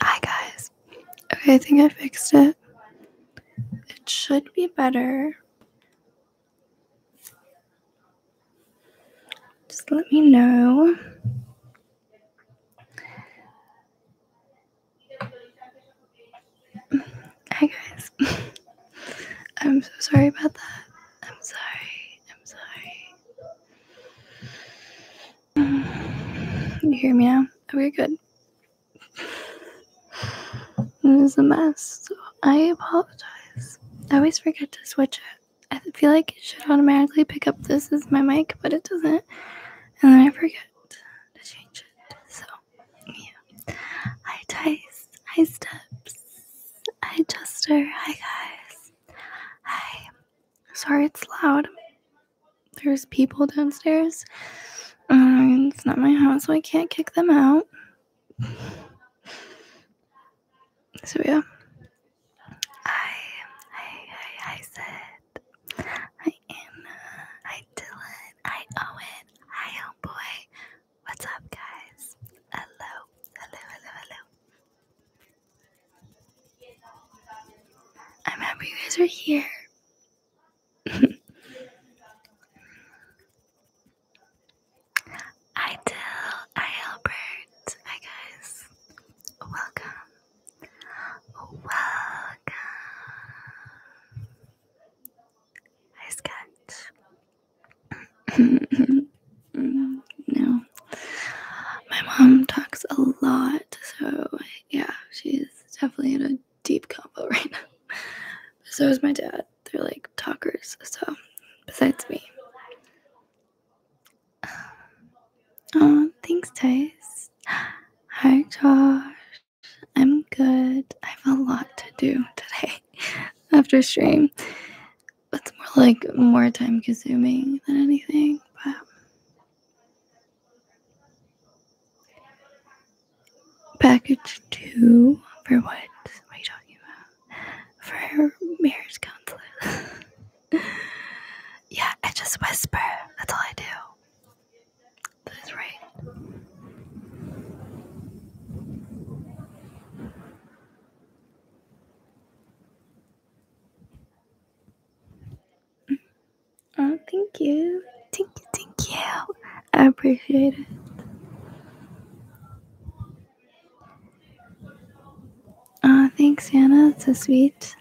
Hi guys. Okay, I think I fixed it. It should be better. Just let me know. Hi guys. I'm so sorry about that. I'm sorry. I'm sorry. You hear me now? Okay, good. It is a mess, I apologize. I always forget to switch it. I feel like it should automatically pick up this as my mic, but it doesn't. And then I forget to change it. So yeah. Hi Dice, hi Steps, hi Chester, hi guys. Hi. Sorry it's loud. There's people downstairs. Um, it's not my house, so I can't kick them out. So yeah. Hi, hi, hi, hi Sid. Hi Anna. Hi Dylan. Hi Owen. Hi Homeboy. What's up, guys? Hello, hello, hello, hello. I'm happy you guys are here. I tell, I Albert. Hi, guys. Welcome. Welcome. Hi, Sketch no. My mom talks a lot, so yeah, she's definitely in a deep combo right now. so is my dad. They're like talkers, so besides me. Oh, thanks, Tice. Hi, Josh. I'm good. I have a lot to do today after stream. that's more like more time consuming than anything, package two for what? What are you talking about? For marriage counselor. yeah, I just whisper. That's all I do. That is right. Oh, thank you. Thank you, thank you. I appreciate it. Oh, thanks, Hannah. That's so sweet.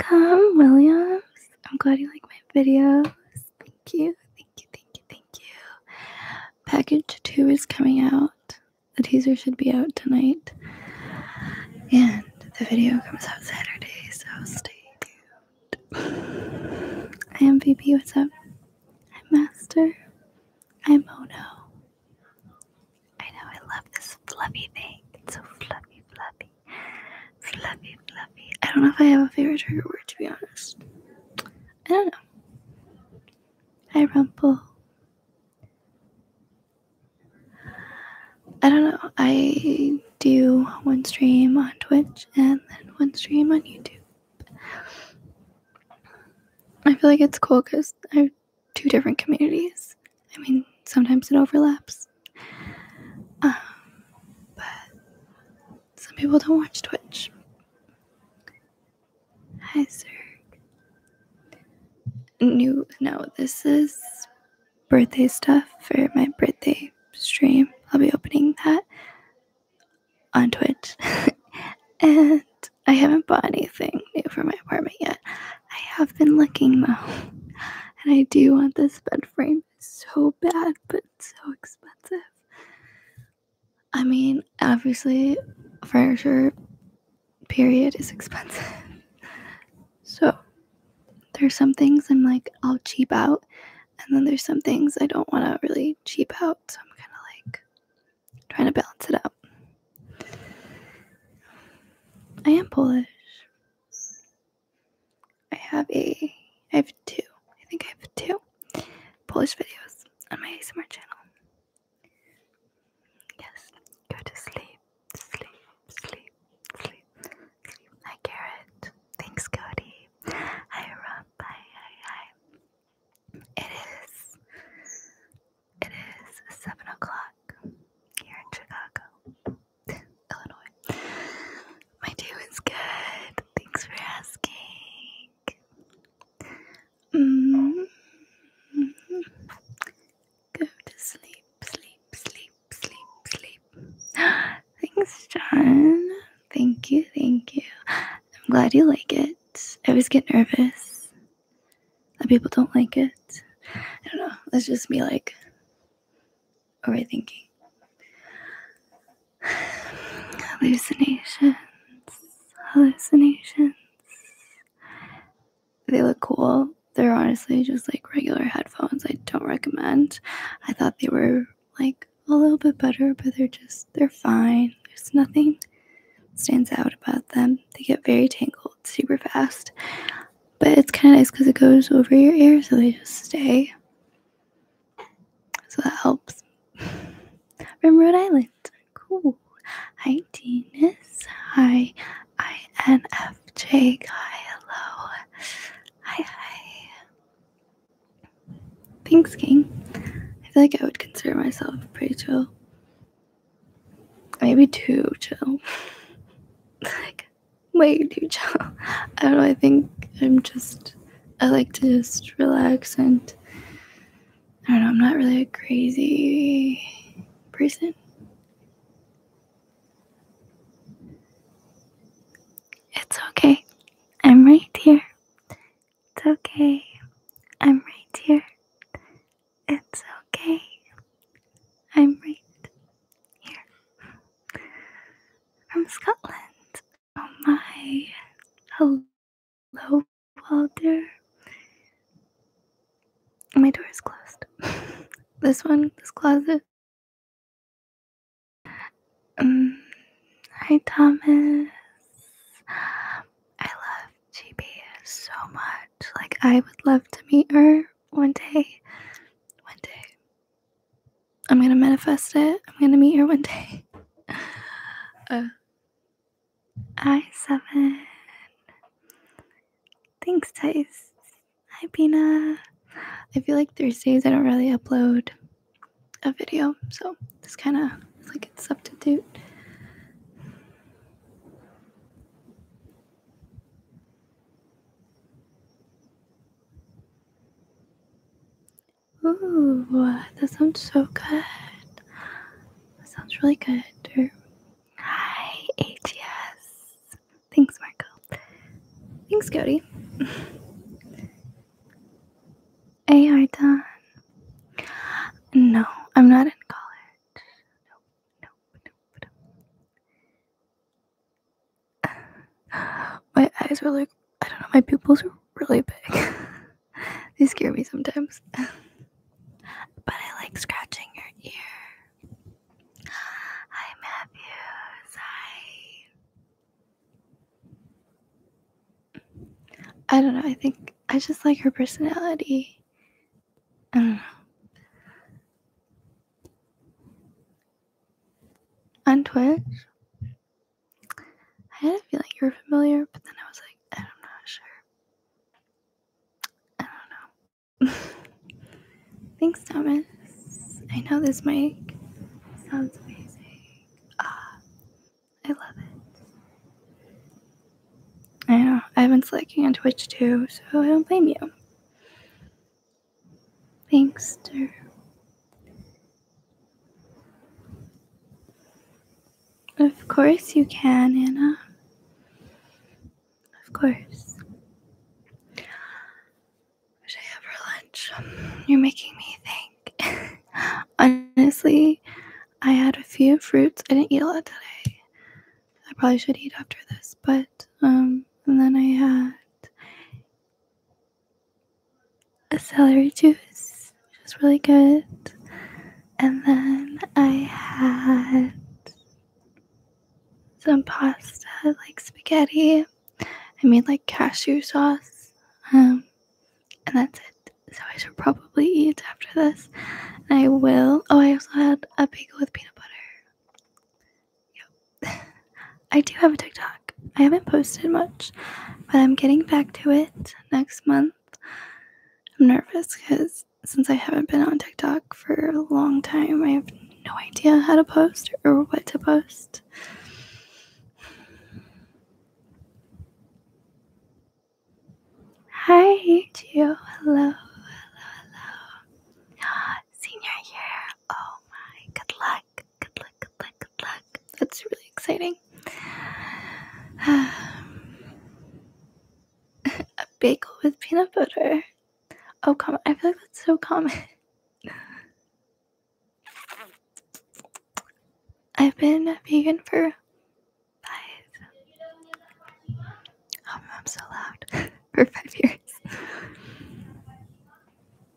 Welcome, Williams. I'm glad you like my videos. Thank you. Thank you, thank you, thank you. Package 2 is coming out. The teaser should be out tonight. And the video comes out Saturday, so stay tuned. I am VP, what's up? I'm Master. I'm Ono. I know, I love this fluffy thing. It's so fluffy, fluffy. Fluffy, fluffy. I don't know if I have a favorite trigger word, to be honest. I don't know. I Rumple. I don't know. I do one stream on Twitch and then one stream on YouTube. I feel like it's cool because I have two different communities. I mean, sometimes it overlaps. Um, but some people don't watch Twitch. Hi, sir. New, no, this is birthday stuff for my birthday stream. I'll be opening that on Twitch. and I haven't bought anything new for my apartment yet. I have been looking though. And I do want this bed frame so bad, but so expensive. I mean, obviously, furniture, period, is expensive. so, there's some things I'm like, I'll cheap out. And then there's some things I don't want to really cheap out. So, I'm kind of like trying to balance it out. I am Polish. I have a, I have two. I think I have two. Polish videos on my ASMR channel. Yes, go to sleep, sleep, sleep, sleep, sleep. Hi, Garrett. Thanks, Cody. Hi, Rob. Hi, hi, hi. It is, it is 7 o'clock here in Chicago, Illinois. My day was good. Thanks for asking. -hmm. Go to sleep, sleep, sleep, sleep, sleep. Thanks, John. Thank you, thank you. I'm glad you like it. I always get nervous that people don't like it. I don't know. It's just me, like, overthinking hallucinations, hallucinations. They look cool. They're honestly just like regular headphones. I don't recommend. I thought they were like a little bit better, but they're just, they're fine. There's nothing stands out about them. They get very tangled super fast, but it's kind of nice because it goes over your ear so they just stay. So that helps. From Rhode Island. Cool. Hi, Dennis. Hi, INFJ guy. Hello. Hi, Thanks, King. I feel like I would consider myself pretty chill. Maybe too chill. like, way too chill. I don't know. I think I'm just, I like to just relax and I don't know, I'm not really a crazy person. It's okay. I'm right here. It's okay. I'm right here. It's okay. I'm right here. From Scotland. Oh my. Hello, Walter. My door is closed. this one, this closet. Um, hi, Thomas. I love GB so much. Like, I would love to meet her one day. One day. I'm gonna manifest it. I'm gonna meet her one day. Uh, I7. Thanks, Tice. Hi, Pina. I feel like Thursdays I don't really upload a video, so this kind of like a substitute. Ooh, that sounds so good. That sounds really good. Hi, ATS. Thanks, Michael. Thanks, Cody. AR done. No, I'm not in college. No, no, no, My eyes were like, I don't know, my pupils were really big. they scare me sometimes. but I like scratching her ear. Hi, Matthews. Hi. I don't know. I think I just like her personality. I don't know. On Twitch? I had a feeling you were familiar, but then I was like, I'm not sure. I don't know. Thanks, Thomas. I know this mic sounds amazing. Ah, I love it. I know. I've been slacking on Twitch too, so I don't blame you. Thanks, dude. Of course you can, Anna. Of course. What I have for lunch? You're making me think. Honestly, I had a few fruits. I didn't eat a lot today. I probably should eat after this, but um, and then I had a celery juice, which was really good. And then I had some pasta, like spaghetti. I made like cashew sauce. Um, and that's it. So I should probably eat after this. I will. Oh, I also had a bagel with peanut butter. Yep. I do have a TikTok. I haven't posted much, but I'm getting back to it next month. I'm nervous because since I haven't been on TikTok for a long time, I have no idea how to post or what to post. Hi, Gio. Hello, hello, hello. Senior year. Oh my, good luck. Good luck, good luck, good luck. That's really exciting. a bagel with peanut butter. Oh, come on. I feel like that's so common. I've been vegan for five. I'm oh, so loud. for five years.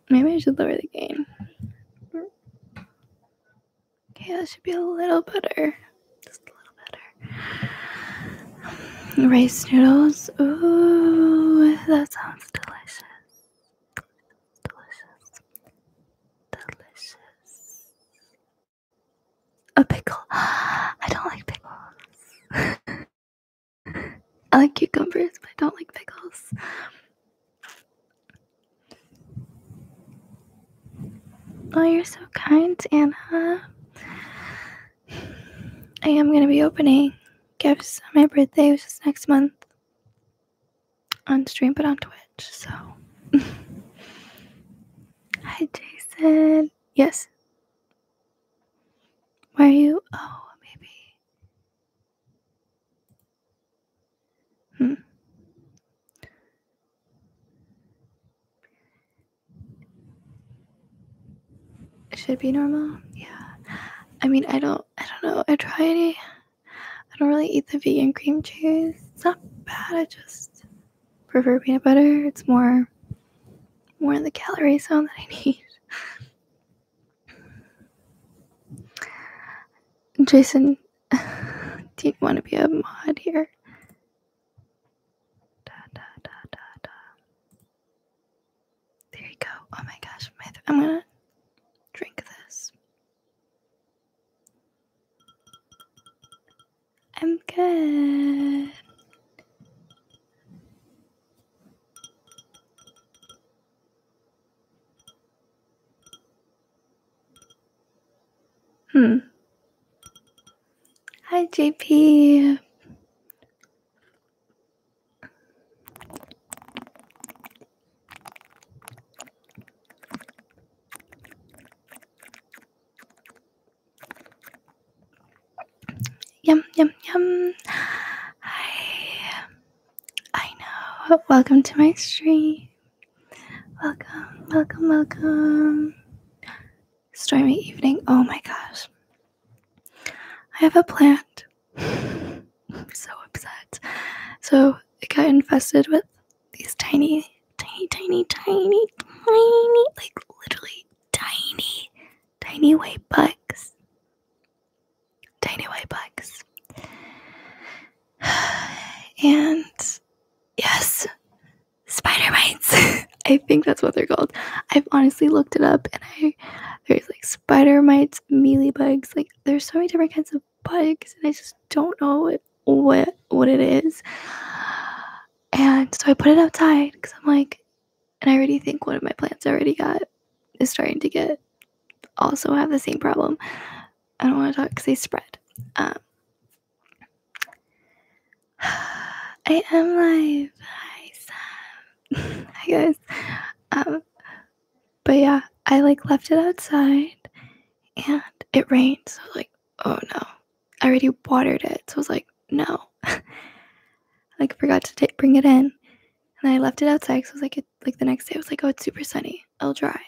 Maybe I should lower the gain. Okay, that should be a little better. Just a little better. rice noodles. Ooh, that sounds delicious. Delicious. Delicious. A pickle. I don't like pickles. I like cucumbers, but I don't like pickles. Oh, you're so kind, Anna. I am going to be opening gifts on my birthday, which is next month. On stream, but on Twitch, so. Hi, Jason. Yes. Where are you? Oh, maybe. Hmm. It should be normal. Yeah. I mean, I don't. I don't know. I try any. I don't really eat the vegan cream cheese. It's not bad. I just prefer peanut butter. It's more, more in the calorie zone that I need. Jason Do you want to be a mod here? There you go. Oh my gosh, my I'm gonna drink this. I'm good. Hmm. Hi, JP. Yum, yum, yum. Hi. I know. Welcome to my stream. Welcome, welcome, welcome. Stormy evening. Oh my gosh. I have a plant. I'm so upset. So it got infested with these tiny, tiny, tiny, tiny, tiny, like literally tiny, tiny white bugs. Tiny white bugs. And Yes. Spider mites. I think that's what they're called. I've honestly looked it up and I there's like spider mites, mealy bugs, like there's so many different kinds of bugs and I just don't know what what, it is. And so I put it outside because I'm like, and I already think one of my plants I already got is starting to get also have the same problem. I don't want to talk because they spread. Um, I am live. Hi, Sam. Hi, guys. Um, but yeah, I like left it outside and it rained. So, like, oh no. I already watered it. So, I was like, no. like, forgot to bring it in. And I left it outside. So, I was like, it, like the next day, I was like, oh, it's super sunny it'll dry.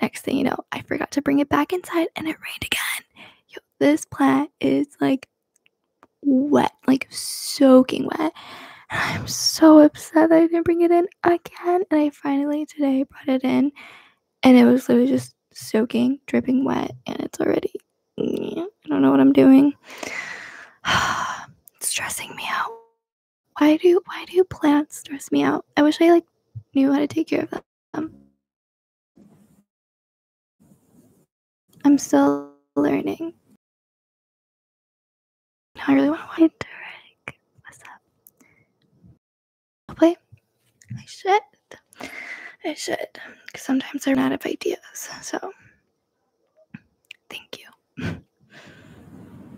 Next thing you know, I forgot to bring it back inside and it rained again. Yo, this plant is like wet, like soaking wet. I'm so upset that I didn't bring it in again. And I finally today brought it in and it was literally just soaking, dripping wet, and it's already. Yeah, I don't know what I'm doing. it's stressing me out. Why do why do plants stress me out? I wish I like knew how to take care of them. Um, I'm still learning. I really want to play What's up? i play. I should. I should. Because sometimes I am out of ideas. So, thank you.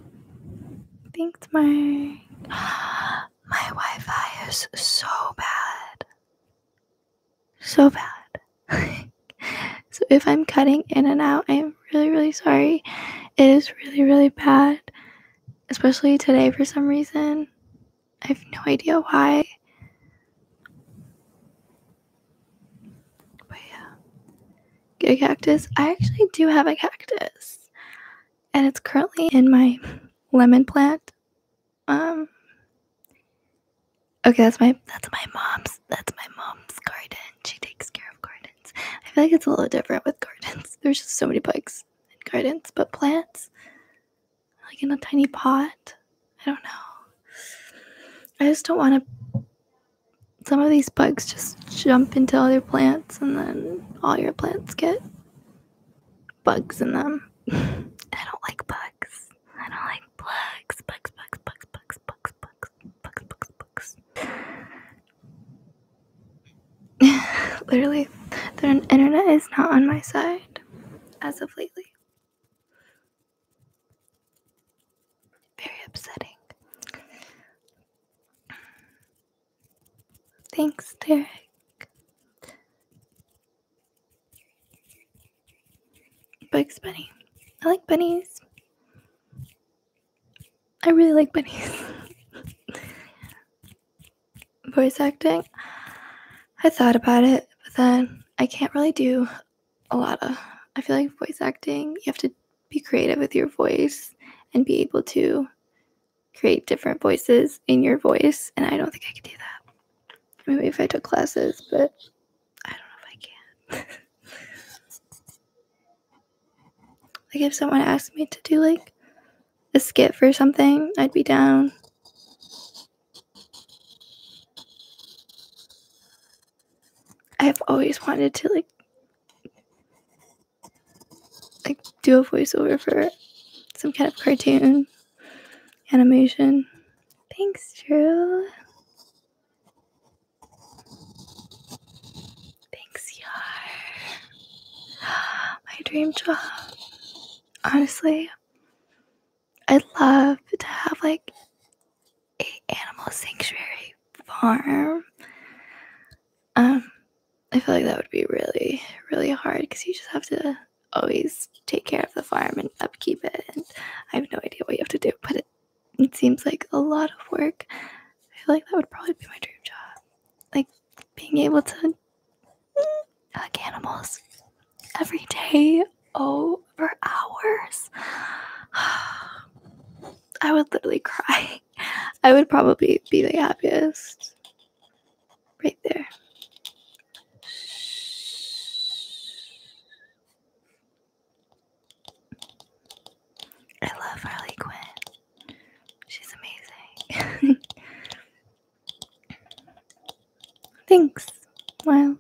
Thanks, Mark. My Wi Fi is so bad. So bad. so if I'm cutting in and out, I am really, really sorry. It is really, really bad. Especially today for some reason. I have no idea why. But yeah. Get a cactus. I actually do have a cactus and it's currently in my lemon plant. Um Okay, that's my that's my mom's that's my mom's garden. She takes care of gardens. I feel like it's a little different with gardens. There's just so many bugs in gardens, but plants like in a tiny pot. I don't know. I just don't want to some of these bugs just jump into other plants and then all your plants get bugs in them. I don't like bugs. I don't like bugs. Bugs, bugs, bugs, bugs, bugs, bugs, bugs, bugs, bugs. Literally, the internet is not on my side as of lately. Very upsetting. Thanks, Derek. Thanks, Bunny. I like bunnies. I really like bunnies. Voice acting. I thought about it, but then I can't really do a lot of. I feel like voice acting, you have to be creative with your voice and be able to create different voices in your voice, and I don't think I could do that. Maybe if I took classes, but I don't know if I can. like if someone asked me to do like a skit for something, I'd be down. I've always wanted to like like do a voiceover for some kind of cartoon animation. Thanks, Drew. Thanks, Yar. My dream job. Honestly, I'd love to have like a animal sanctuary farm. Um, I feel like that would be really, really hard because you just have to always take care of the farm and upkeep it. And I have no idea what you have to do, but it, seems like a lot of work. I feel like that would probably be my dream job. Like being able to hug animals every day over hours. I would literally cry. I would probably be the happiest Right there. I love Harley Quinn. She's amazing. Thanks, Wild.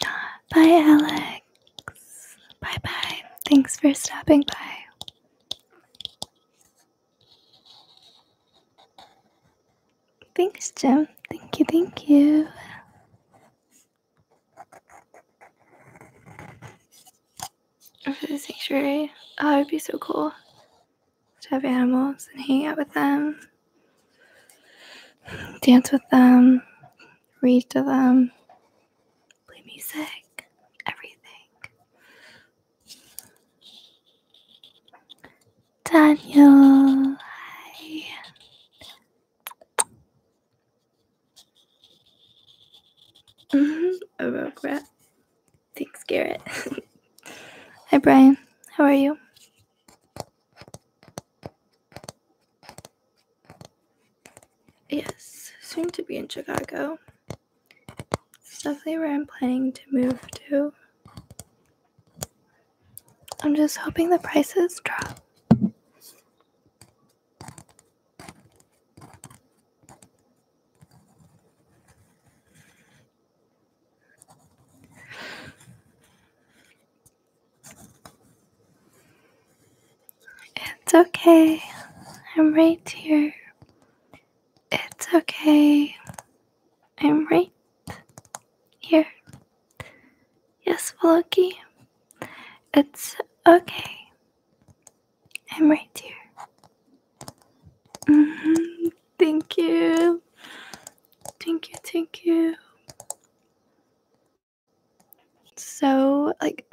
Bye, Alex. Bye bye. Thanks for stopping by. Thanks, Jim. Thank you, thank you. For the sanctuary, oh, it would be so cool to have animals and hang out with them, dance with them, read to them, play music, everything. Daniel, hi. hmm A rogue rat. Thanks, Garrett. hi, Brian. How are you? Yes, soon to be in Chicago. Definitely where I'm planning to move to. I'm just hoping the prices drop. It's okay. I'm right here. It's okay. I'm right here. Yes, Vloki. It's okay. I'm right here. Mm-hmm. Thank you. Thank you, thank you. So, like,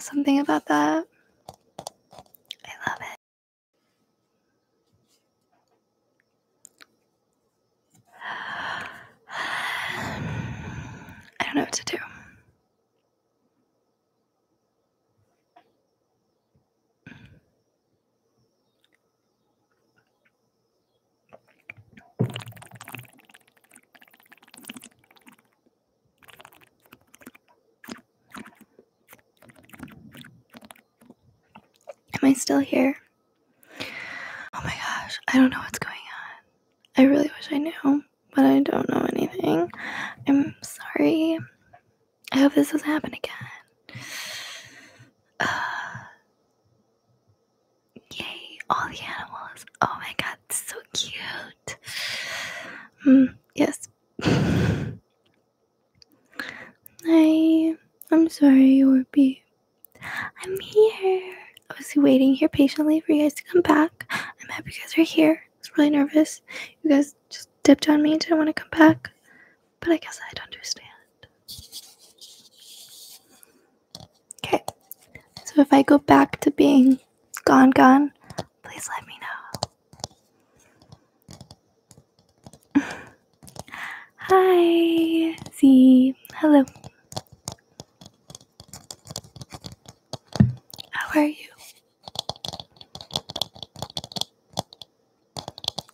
something about that. I love it. I don't know what to do. Am I still here? Oh my gosh, I don't know what's going on. I really wish I knew, but I don't know anything. I'm sorry. I hope this doesn't happen again. Uh, yay, all the animals. Oh my god, so cute. Mm, yes. I I'm sorry, Orby. I'm here. I was waiting here patiently for you guys to come back. I'm happy you guys are here. I was really nervous. You guys just dipped on me didn't want to come back. But I guess I don't understand. Okay. So if I go back to being gone gone, please let me know. Hi, Z. Hello. How are you?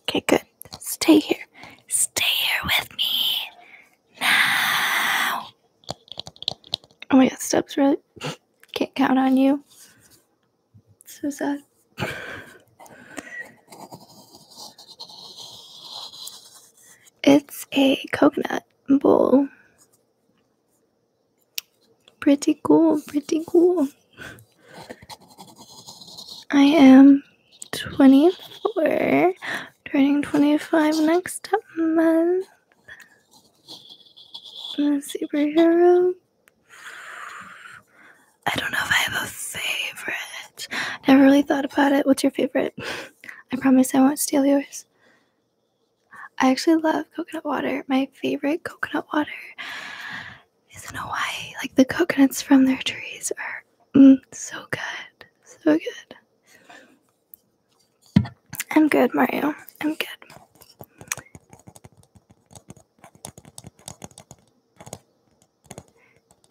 Okay, good. Stay here. Stay here with me now. Oh my god, steps really can't count on you. So sad. It's a coconut bowl. Pretty cool, pretty cool. I am 24, turning 25 next month. superhero. I don't know if I have a favorite. Never really thought about it. What's your favorite? I promise I won't steal yours. I actually love coconut water. My favorite coconut water is in Hawaii. Like the coconuts from their trees are mm, so good. So good. I'm good, Mario. I'm good.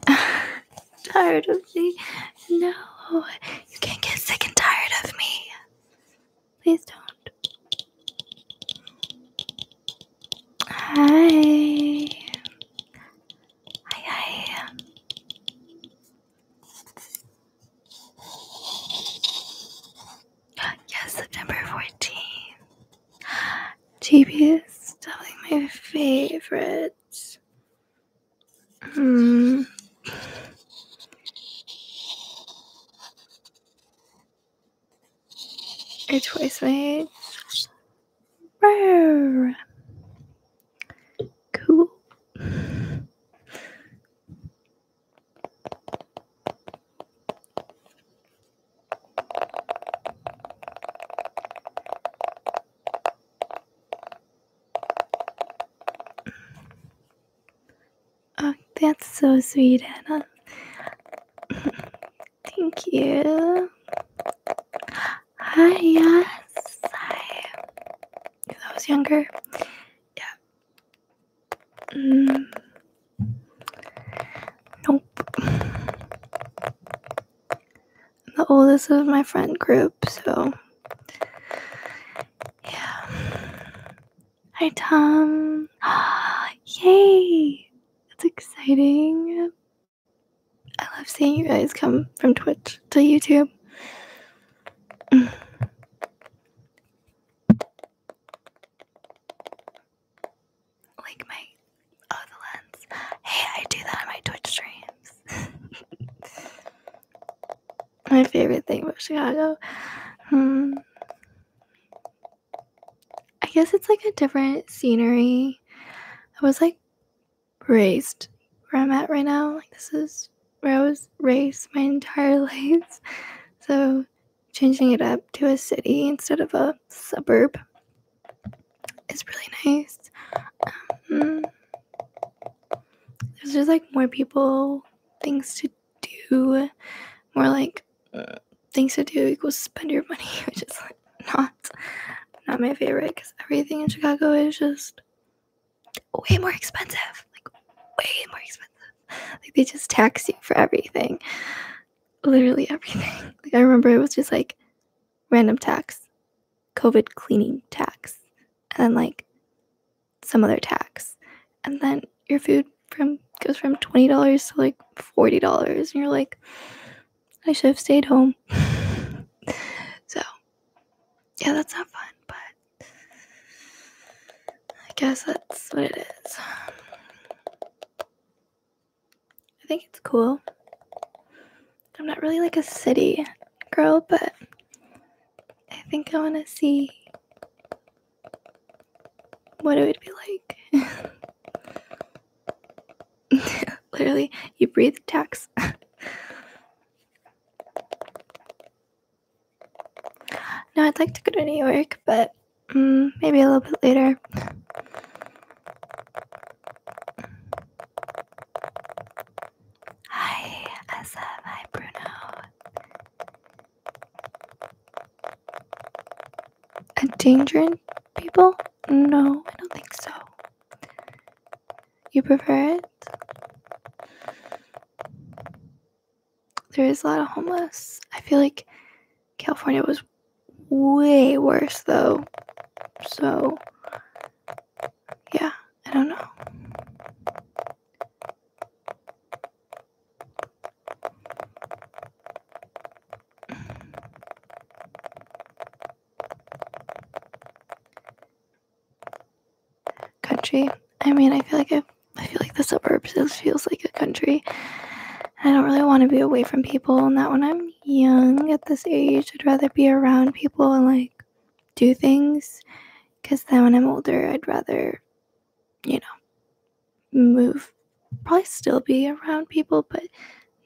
tired of me? No, you can't get sick and tired of me. Please don't. Hi. Hi, Yes, September 14th. GB is definitely my favorite. Hmm. Or twice my age. Cool. Oh, that's so sweet, Anna. Thank you. Hi, yes. I was younger, yeah, Mm. Nope. I'm the oldest of my friend group, so. Yeah. Hi, Tom. Yay! That's exciting. I love seeing you guys come from Twitch to YouTube like my oh the lens. Hey, I do that on my Twitch streams. my favorite thing about Chicago. Hmm. I guess it's like a different scenery. I was like raised where I'm at right now. Like this is where I was raised my entire life. So changing it up to a city instead of a suburb is really nice. Um, there's just like more people, things to do, more like things to do equals spend your money, which is like not not my favorite because everything in Chicago is just way more expensive, like way more expensive. Like they just tax you for everything literally everything. Like I remember it was just like random tax, COVID cleaning tax, and like some other tax. And then your food from goes from twenty dollars to like forty dollars and you're like, I should have stayed home. so yeah, that's not fun, but I guess that's what it is. I think it's cool. I'm not really like a city girl, but I think I want to see what it would be like. Literally, you breathe tax. no, I'd like to go to New York, but Mm, maybe a little bit later. Hi, Asa. Hi, Bruno. Endangering people? No, I don't think so. You prefer it? There is a lot of homeless. I feel like California was way worse though. So yeah, I don't know. Country. I mean, I feel like I, I feel like the suburbs feels like a country. I don't really want to be away from people. and that when I'm young at this age. I'd rather be around people and like do things. Because then when I'm older, I'd rather, you know, move. Probably still be around people, but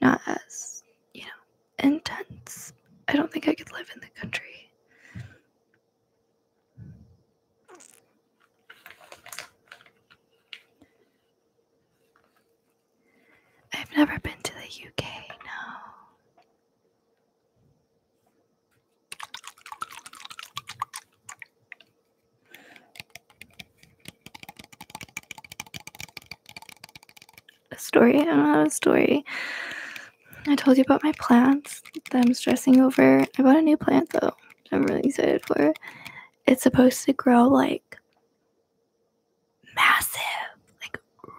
not as, you know, intense. I don't think I could live in the country. I've never been to the UK, no. A story, another story. I told you about my plants that I'm stressing over. I bought a new plant though. I'm really excited for it's supposed to grow like massive, like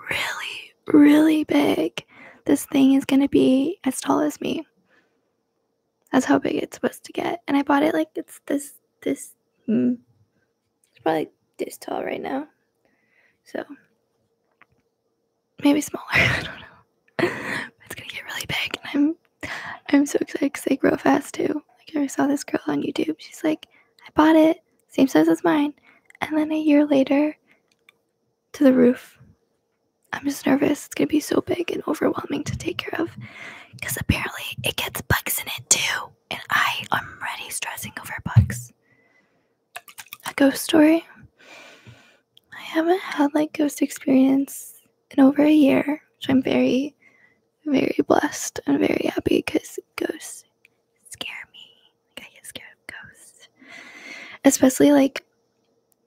really, really big. This thing is going to be as tall as me. That's how big it's supposed to get. And I bought it like it's this, this, hmm, it's probably this tall right now. So maybe smaller. I don't know. It's going to get really big. I'm so excited because they grow fast too. Like I saw this girl on YouTube. She's like, I bought it, same size as mine, and then a year later, to the roof. I'm just nervous. It's gonna be so big and overwhelming to take care of, because apparently it gets bugs in it too, and I am already stressing over bugs. A ghost story. I haven't had like ghost experience in over a year, which I'm very very blessed and very happy because ghosts scare me. I get scared of ghosts. Especially like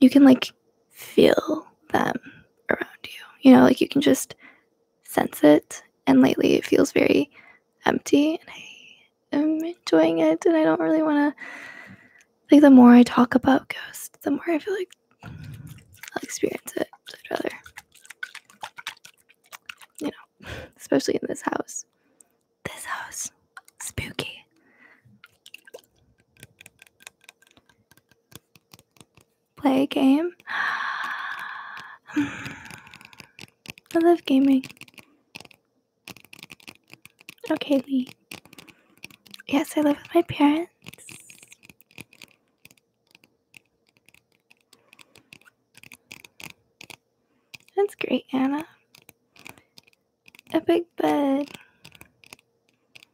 you can like feel them around you. You know, like you can just sense it. And lately it feels very empty and I am enjoying it and I don't really wanna like the more I talk about ghosts, the more I feel like I'll experience it. I'd rather, you know, especially in this house. This house, spooky. Play a game. I love gaming. Okay, Lee. Yes, I live with my parents. That's great, Anna. A big bed.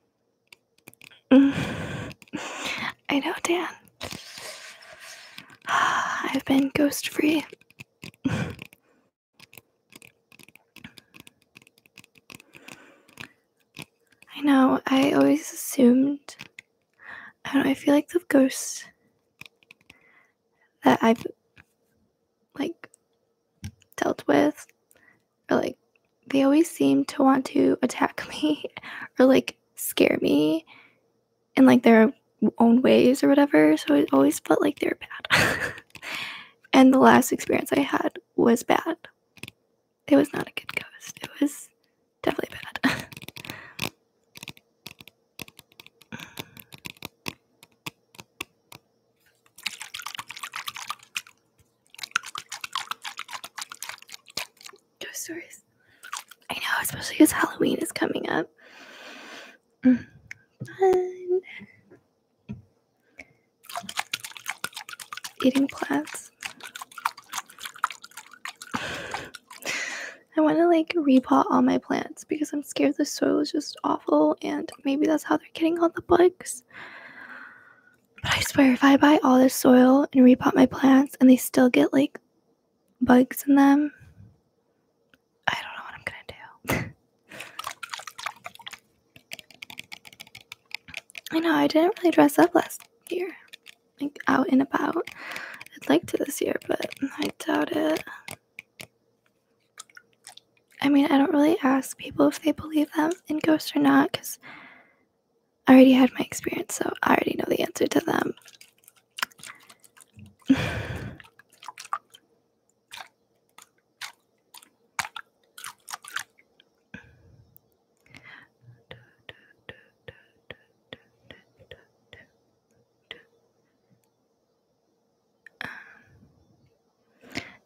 I know, Dan. I've been ghost free. I know, I always assumed. I feel like the ghosts that I've like dealt with or like they always seem to want to attack me or like scare me in like their own ways or whatever. So I always felt like they're bad. and the last experience I had was bad it was not a good ghost. It was definitely bad. Ghost stories. I know, especially because Halloween is coming up. Fun. Eating plants. I want to like repot all my plants because I'm scared the soil is just awful and maybe that's how they're getting all the bugs. But I swear, if I buy all this soil and repot my plants and they still get like bugs in them, I don't know what I'm gonna do. I know, I didn't really dress up last year like out and about. I'd like to this year, but I doubt it. I mean, I don't really ask people if they believe them in ghosts or not because I already had my experience, so I already know the answer to them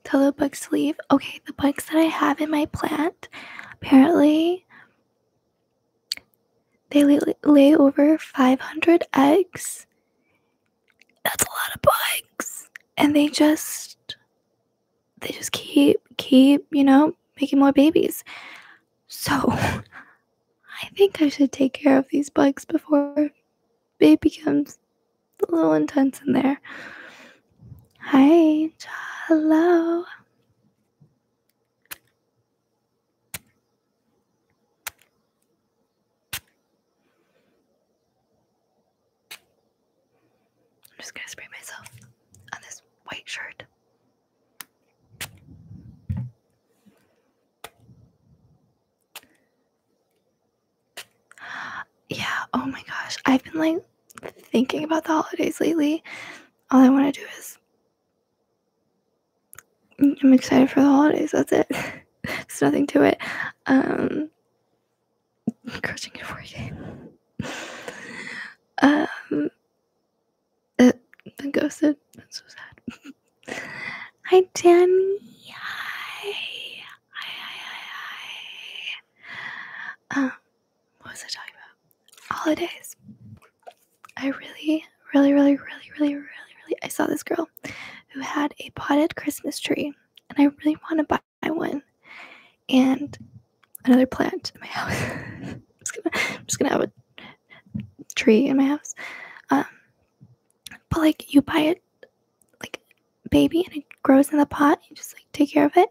tell um, the bugs to leave. Okay, the bugs that I have in my plant apparently they lay over 500 eggs. That's a lot of bugs. And they just they just keep keep you know making more babies so i think i should take care of these bugs before it becomes a little intense in there hi hello I'm just gonna spray myself on this white shirt. Yeah, oh my gosh. I've been like thinking about the holidays lately. All I want to do is I'm excited for the holidays. That's it. It's nothing to it. Um crushing it for you. Um uh, the ghost said, that's so sad. hi, Danny. Hi. hi. Um, what was I talking about? Holidays. I really, really, really, really, really, really, really, I saw this girl who had a potted Christmas tree, and I really want to buy one and another plant in my house. I'm, just gonna, have a tree in my house. Um, but like you buy it like baby and it grows in the pot. You just like take care of it,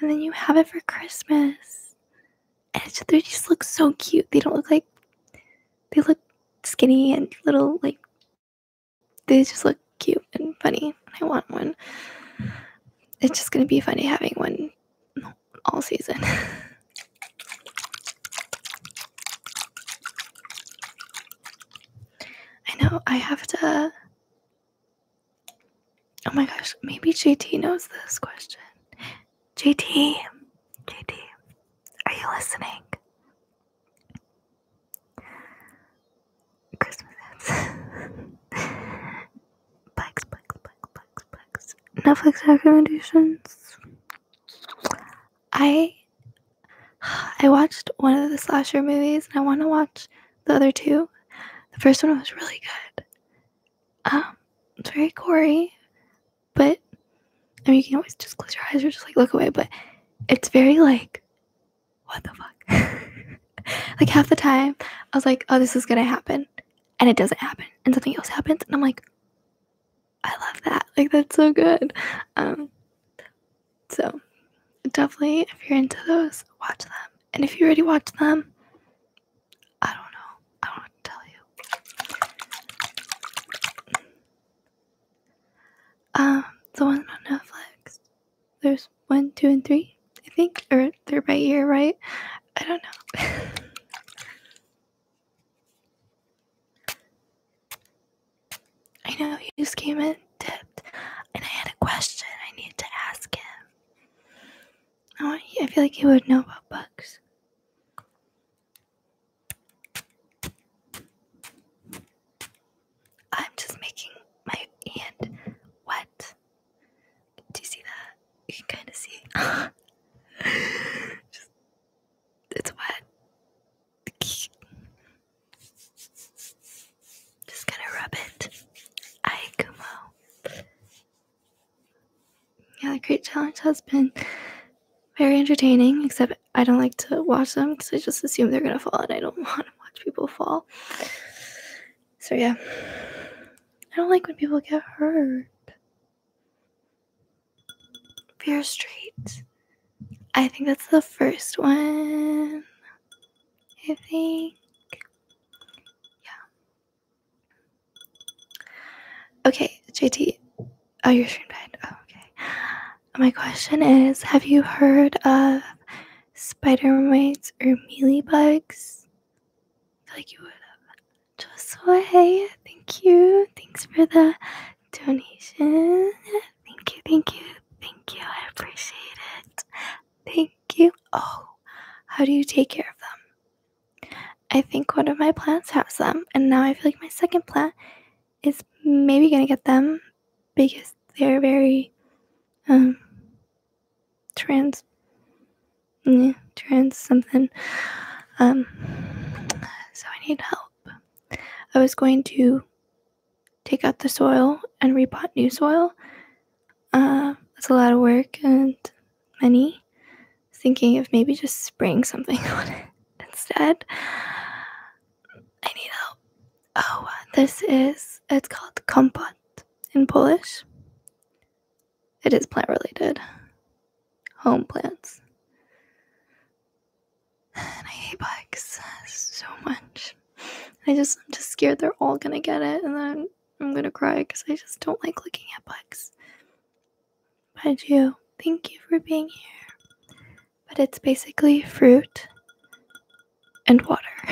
and then you have it for Christmas. And they just look so cute. They don't look like they look skinny and little like they just look cute and funny. I want one. It's just gonna be funny having one all season. I know I have to. Oh my gosh, maybe JT knows this question. JT, JT, are you listening? Christmas hits. Netflix recommendations. I I watched one of the slasher movies and I want to watch the other two. The first one was really good. Um, it's very gory, but I mean you can always just close your eyes or just like look away, but it's very like what the fuck? like half the time I was like, oh this is gonna happen and it doesn't happen and something else happens and i'm like i love that like that's so good um so definitely if you're into those watch them and if you already watched them i don't know i don't tell you um the ones on netflix there's one two and three I think, or they're ear, right? I don't know. I know you just came in tipped, and I had a question I need to ask him. I, want, I feel like he would know about bugs. I'm just making my hand wet. Do you see that? You can kind of see. Just, it's wet. Just gonna rub it. Aye, Kumo. Yeah, Great Challenge has been very entertaining, except I don't like to watch them because I just assume they're gonna fall and I don't want to watch people fall. So, yeah. I don't like when people get hurt. Fear Street. I think that's the first one. I think. Yeah. Okay, JT. Oh, your stream died. Oh, okay. My question is Have you heard of spider mites or bugs? I like you would have. Josue, thank you. Thanks for the donation. Thank you, thank you, thank you. I appreciate it. Thank you. Oh, how do you take care of them? I think one of my plants has them, and now I feel like my second plant is maybe gonna get them because they're very um trans trans something. Um, so I need help. I was going to take out the soil and repot new soil. Uh, that's a lot of work and many thinking of maybe just spraying something on instead. I need help. Oh, uh, this is it's called kompot in Polish. It is plant related. Home plants. And I hate bugs so much. I just I'm just scared they're all gonna get it, and then I'm gonna cry because I just don't like looking at bugs. But do. thank you for being here. But it's basically fruit and water.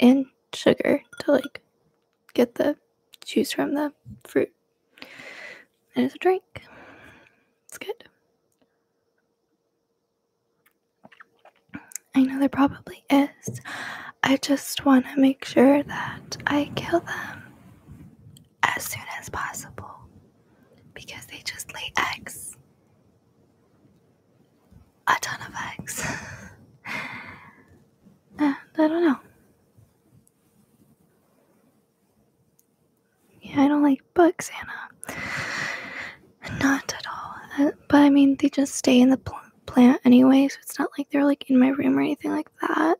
and sugar to like get the juice from the fruit. And it's a drink. It's good. I know there probably is. I just want to make sure that I kill them as soon as possible because they just lay eggs a ton of eggs. Eh, I don't know. Yeah, I don't like bugs, Anna. Not at all. Uh, but I mean, they just stay in the plant anyway, so it's not like they're like in my room or anything like that.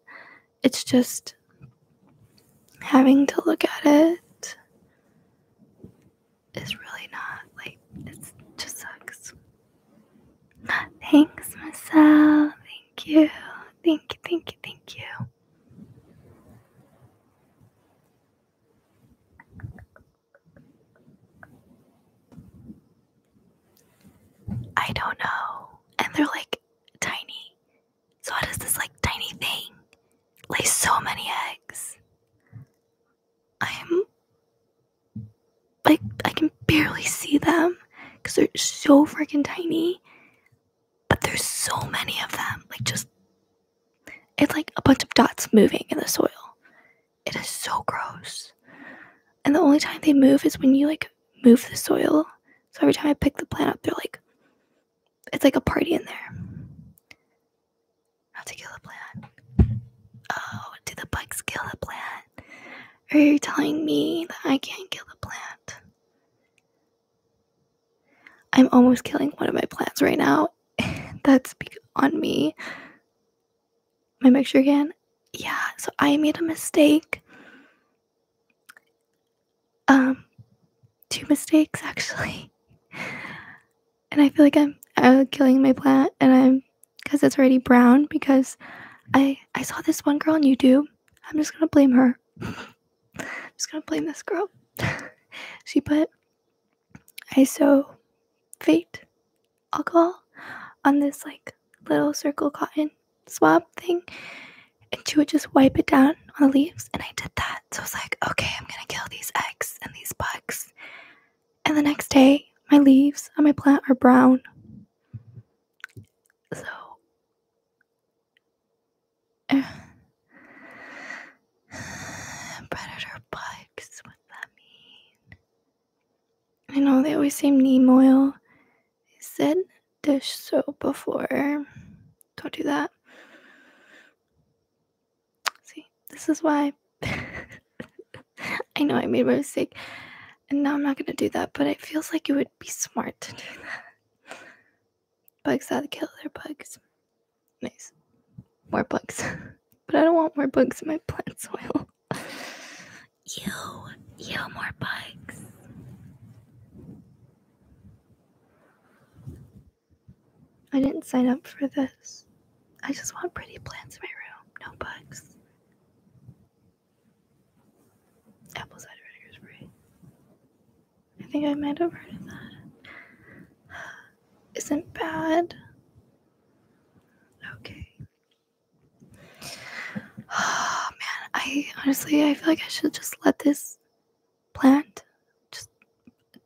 It's just having to look at it is really not like it just sucks. Thanks, Marcel. Thank you. Thank you, thank you, thank you. I don't know. And they're like tiny. So how does this like tiny thing lay so many eggs? I'm like I can barely see them because they're so freaking tiny. But there's so many of them. Like just it's like a bunch of dots moving in the soil. It is so gross. And the only time they move is when you like move the soil. So every time I pick the plant up, they're like it's like a party in there. I to kill the plant. Oh, did the bugs kill the plant? Are you telling me that I can't kill the plant? I'm almost killing one of my plants right now. That's on me. My mixture again. Yeah, so I made a mistake. Um, two mistakes actually. And I feel like I'm, I'm killing my plant and I'm because it's already brown because I I saw this one girl on YouTube. I'm just gonna blame her. I'm just gonna blame this girl. she put I saw, fate alcohol on this like little circle cotton swab thing and she would just wipe it down on the leaves and I did that. So I was like, okay, I'm gonna kill these eggs and these bugs and the next day, my leaves on my plant are brown. So, predator bugs, what that mean? I know they always say neem oil. They said dish soap before. Don't do that. See, this is why I know I made my mistake, and now I'm not gonna do that, but it feels like it would be smart to do that. Bugs that kill their bugs. Nice. More bugs. but I don't want more bugs in my plant soil. Ew, ew, more bugs. I didn't sign up for this. I just want pretty plants in my room, no bugs. Apple cider vinegar spray. I think I might have heard of that. Isn't bad. Okay. Oh man, I honestly I feel like I should just let this plant just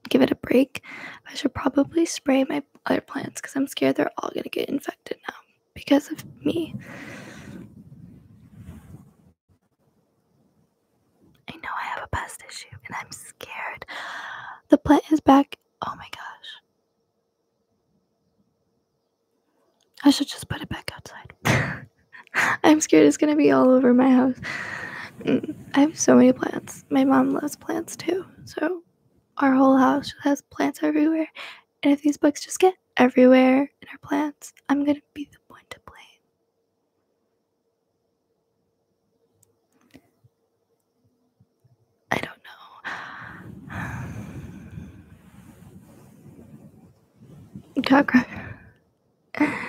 give it a break. I should probably spray my other plants because I'm scared they're all gonna get infected now because of me. I know I have a pest issue and I'm scared. The plant is back. Oh my gosh. I should just put it back outside. I'm scared it's going to be all over my house. Mm, I have so many plants. My mom loves plants too. So our whole house has plants everywhere. And if these bugs just get everywhere in our plants, I'm going to be the one to blame. I don't know. Dog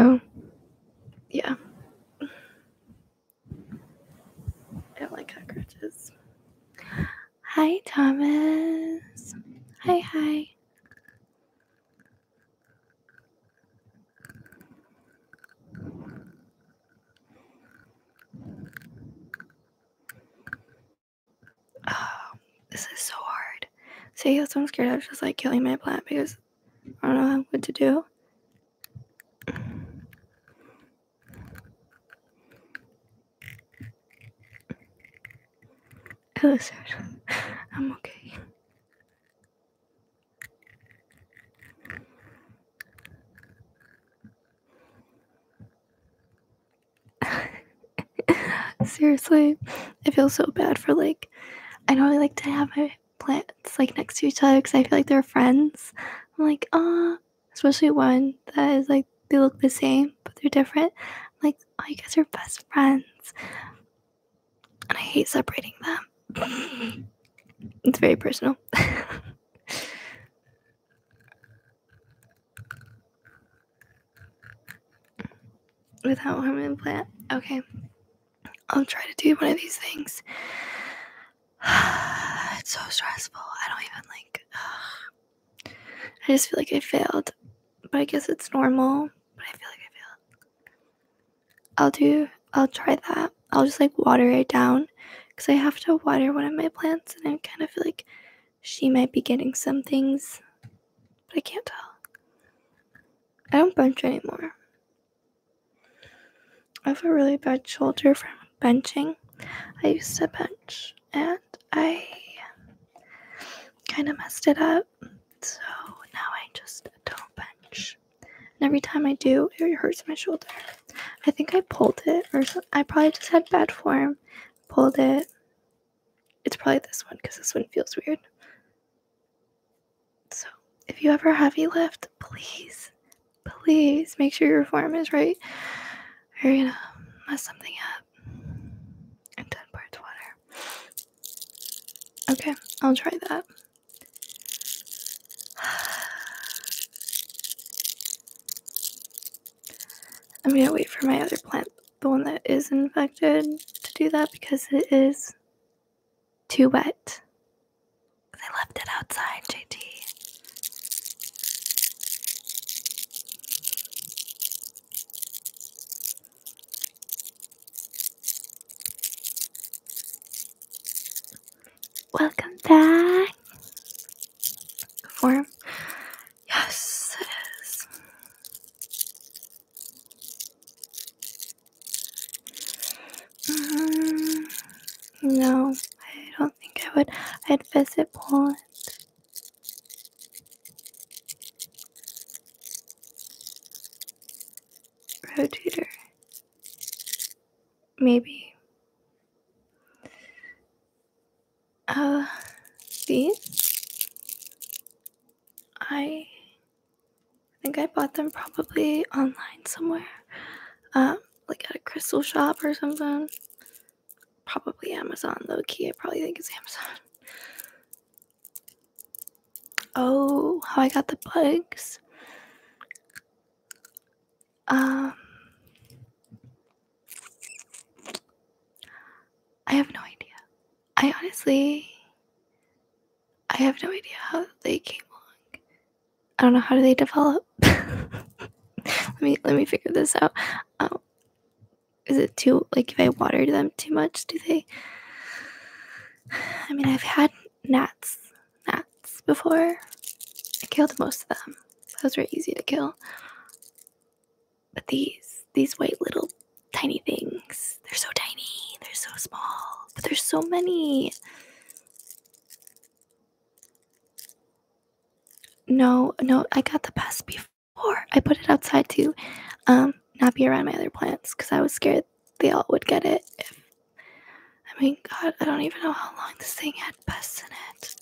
Oh, yeah. I don't like cockroaches. Hi, Thomas. Hi, hi. Oh, this is so hard. See, that's what I'm scared I was just like killing my plant because I don't know what to do. Hello, sir. I'm okay. Seriously, I feel so bad for like, I know I like to have my plants like next to each other because I feel like they're friends. I'm like, ah, especially one that is like they look the same but they're different. like, oh, you guys are best friends, and I hate separating them. it's very personal. Without hormone implant, okay. I'll try to do one of these things. it's so stressful. I don't even like. I just feel like I failed, but I guess it's normal. But I feel like I failed. I'll do. I'll try that. I'll just like water it down because I have to water one of my plants, and I kind of feel like she might be getting some things, but I can't tell. I don't bunch anymore. I have a really bad shoulder from benching. I used to bench and I kind of messed it up. So now I just don't bench. And every time I do, it hurts my shoulder. I think I pulled it or I probably just had bad form. Pulled it. It's probably this one because this one feels weird. So if you ever have heavy lift, please please make sure your form is right or you're gonna mess something up 10 parts water okay i'll try that i'm gonna wait for my other plant the one that is infected to do that because it is too wet i left it outside jt Welcome back. Form. Yes, it is. -hmm. No, I don't think I would. I'd visit Poland. Rotator, Maybe. Uh, these? I think I bought them probably online somewhere. Um, like at a crystal shop or something. Probably Amazon, low key. I probably think it's Amazon. Oh, how I got the bugs. Um, I have no idea. I honestly, I have no idea how they came along. I don't know how do they develop. let me let me figure this out. Um, is it too like if I watered them too much? Do they? I mean, I've had gnats, gnats before. I killed most of them. Those were easy to kill. But these, these white little tiny things, they're so tiny, they're so small, but there's so many. No, no, I got the pest before. I put it outside to um, not be around my other plants because I was scared they all would get it. I mean, God, I don't even know how long this thing had pests in it.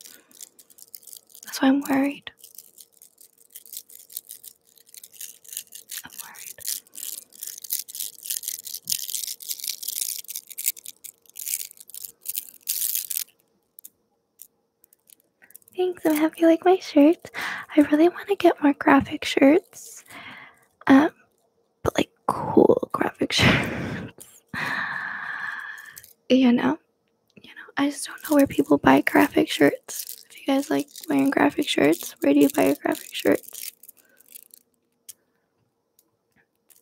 That's why I'm worried. I'm worried. Thanks, I'm happy you like my shirt. I really want to get more graphic shirts. Um, but like cool graphic shirts. you know? You know, I just don't know where people buy graphic shirts. If you guys like wearing graphic shirts, where do you buy your graphic shirts?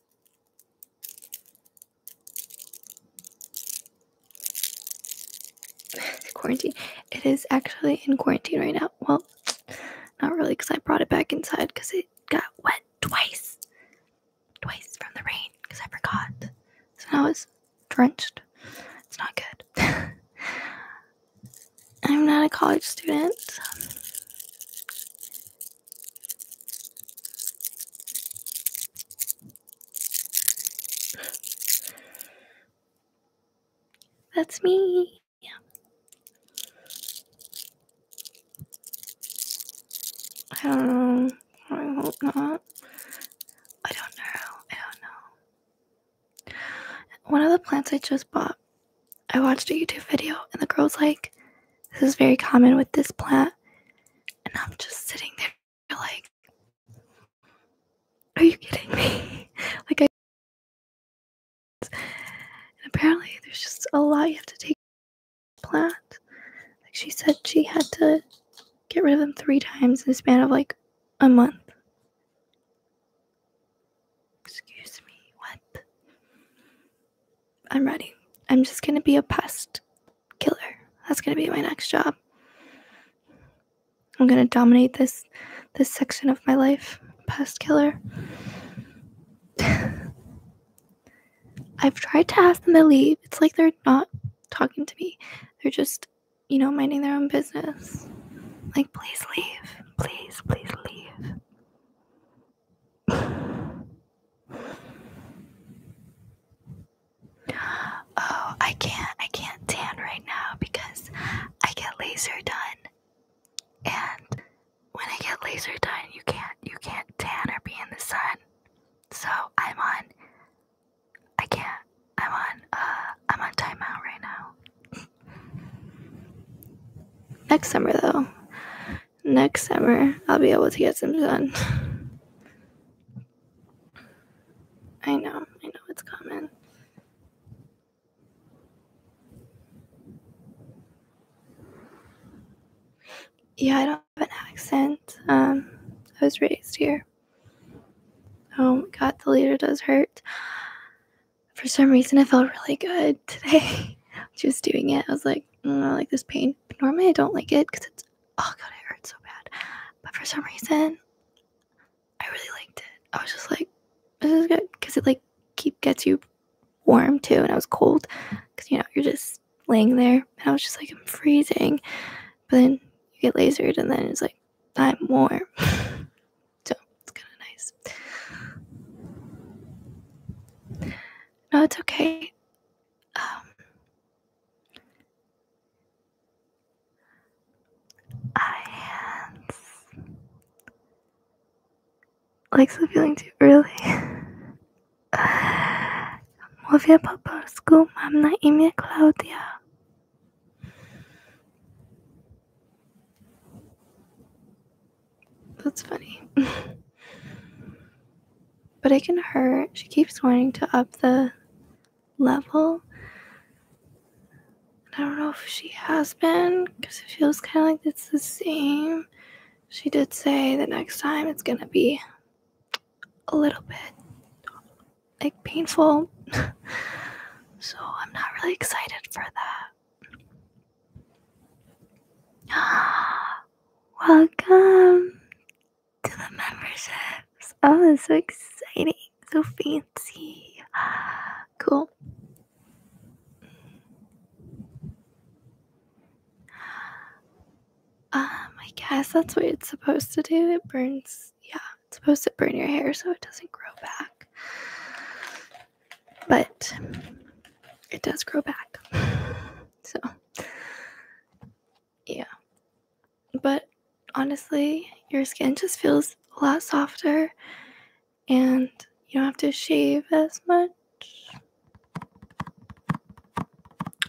quarantine. It is actually in quarantine right now. Well, not really because I brought it back inside because it got wet twice. Twice from the rain because I forgot. So now it's drenched. It's not good. I'm not a college student. That's me. Yeah. I don't know. I hope not. I don't know. I don't know. One of the plants I just bought, I watched a YouTube video, and the girl's like, This is very common with this plant. And I'm just sitting there like, are you kidding me? like, I. And apparently, there's just a lot you have to take. Plant. Like, she said she had to get rid of them three times in the span of like a month. Excuse me, what? I'm ready. I'm just going to be a pest killer. That's going to be my next job. I'm going to dominate this this section of my life, pest killer. I've tried to ask them to leave. It's like they're not talking to me. They're just, you know, minding their own business. Like, please leave. Please, please leave. Oh, I can't I can't tan right now because I get laser done. And when I get laser done, you can't you can't tan or be in the sun. So I'm on I can't. I'm on uh I'm on timeout right now. Next summer though, next summer I'll be able to get some sun. I know, I know it's coming. Yeah, I don't have an accent. Um, I was raised here. Oh god, the leader does hurt. For some reason, I felt really good today. Just doing it, I was like, mm, I like this pain. normally, I don't like it because it's Oh god, it hurt so bad. But for some reason, I really liked it. I was just like, this is good because it like keep gets you warm too. And I was cold because you know you're just laying there, and I was just like, I'm freezing. But then you get lasered, and then it's like, I'm warm. so it's kind of nice. No, it's okay. Um, our hands legs are feeling too early school. I'm not in imię Claudia. that's funny but it can hurt. She keeps wanting to up the level. I don't know if she has been because it feels kind of like it's the same. She did say the next time it's going to be a little bit like painful. so I'm not really excited for that. Welcome to the memberships. Oh, it's so exciting. So fancy. Cool. Um, I guess that's what it's supposed to do. It burns, yeah, it's supposed to burn your hair so it doesn't grow back. But it does grow back. So yeah. But honestly, your skin just feels a lot softer and you don't have to shave as much.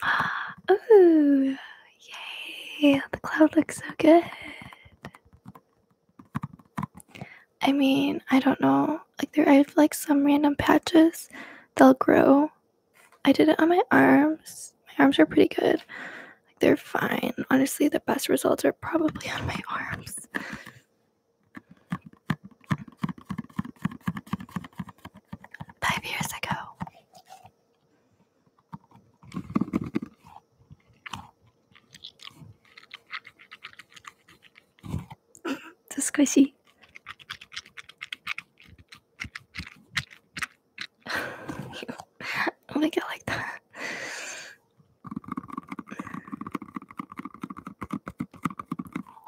Oh, yay! The cloud looks so good. I mean, I don't know. Like, there are like some random patches they will grow I did it on my arms. My arms are pretty good. Like they're fine. Honestly, the best results are probably on my arms. Five years ago. It's squishy. I don't like that.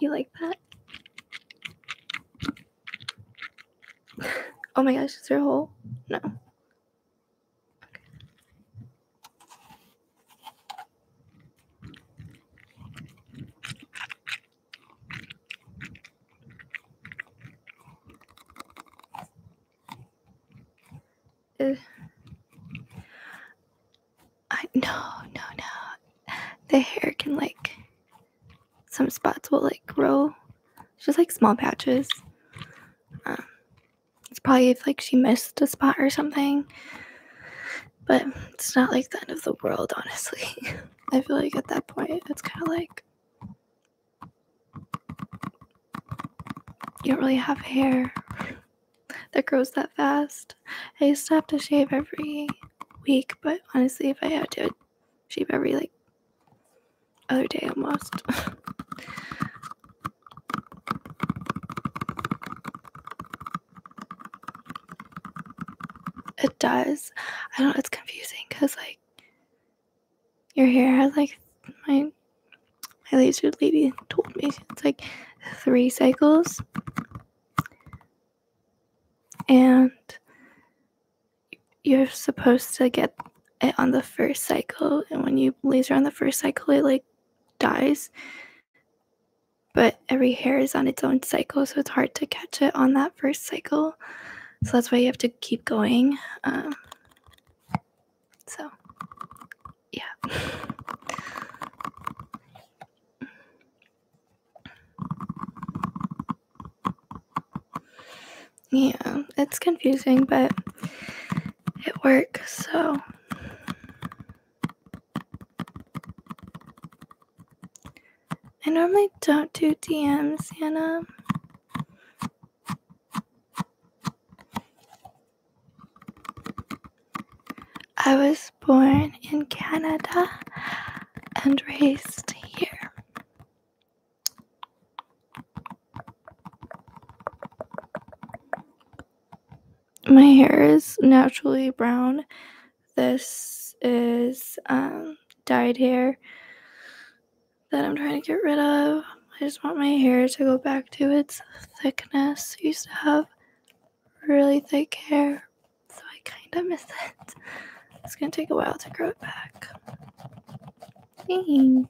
You like that? Oh my gosh, is there a hole? No. Uh, I no no no. The hair can like some spots will like grow. It's just like small patches. Um, it's probably if like she missed a spot or something. But it's not like the end of the world, honestly. I feel like at that point, it's kind of like you don't really have hair that grows that fast. I used to have to shave every week, but honestly, if I had to, shave every like other day almost. It does. I don't. It's confusing because like your hair has like my my laser lady told me it's like three cycles, and you're supposed to get it on the first cycle. And when you laser on the first cycle, it like dies. But every hair is on its own cycle, so it's hard to catch it on that first cycle. So that's why you have to keep going. Um, so, yeah. Yeah, it's confusing, but it works, so. I normally don't do DMs, Hannah. I was born in Canada and raised here. My hair is naturally brown this is um, dyed hair that I'm trying to get rid of. I just want my hair to go back to its thickness. used to have really thick hair, so I kind of miss it. It's gonna take a while to grow it back. Thanks.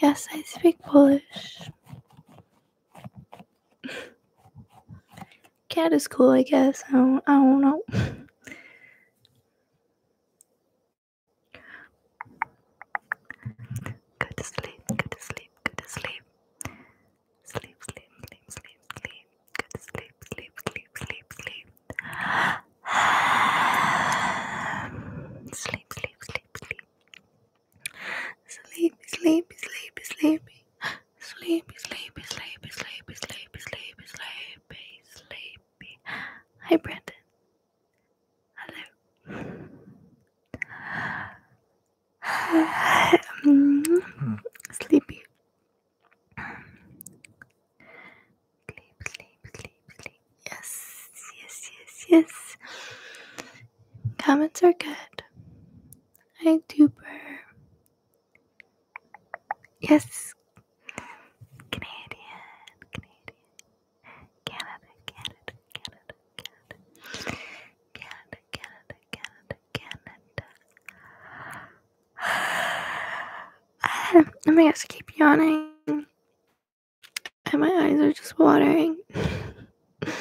Yes, I speak Polish. cat is cool, I guess. I don't, know. go sleep, go sleep, go sleep. Sleep, sleep, sleep, sleep, sleep. Go to sleep, sleep, sleep, sleep, sleep. sleep, sleep, sleep, sleep. Sleepy, sleepy, sleepy, sleepy. Sleepy, sleepy, sleepy, sleepy, sleepy, sleepy, sleepy, sleepy. Hi, Brandon. Hello. um, sleepy. Sleep, sleep, sleep, sleep. Yes, yes, yes, yes. Comments are good. Hi, Duper. Yes, Canadian, Canadian, Canada, Canada, Canada, Canada, Canada, Canada, Canada, Canada. I am I just keep yawning, and my eyes are just watering.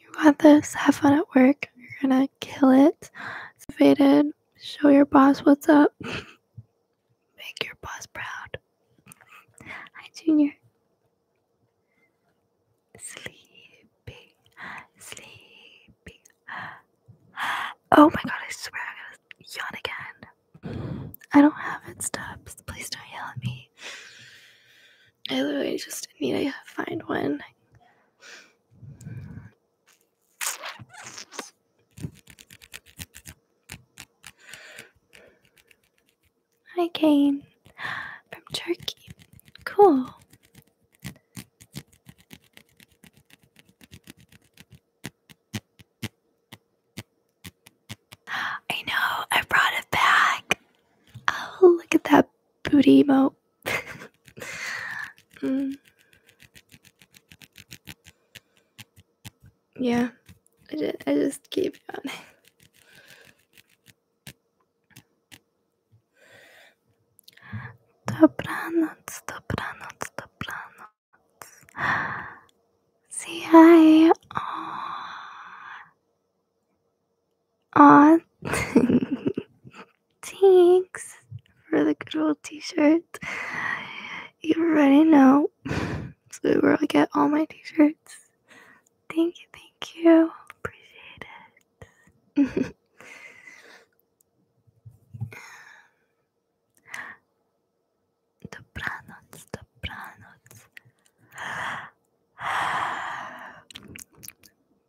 You got this. Have fun at work. You're gonna kill it. Motivated. Show your boss what's up. Make your boss proud. Hi, Junior. Sleepy. Sleepy. Oh my god, I swear I'm gonna yawn again. I don't have it, Stubbs. Please don't yell at me. I literally just need to find one. Hi, Kane. From Turkey. Cool. I know, I brought it back. Oh, look at that booty moat. Mm. Yeah, I just, I just keep on. Dobranoc, dobranoc, dobranoc. See, I. Uh, Aw, thanks for the good old t-shirt. You already know. So where I get all my t-shirts. Thank you, thank you. Appreciate it. Dobranoc, dobranoc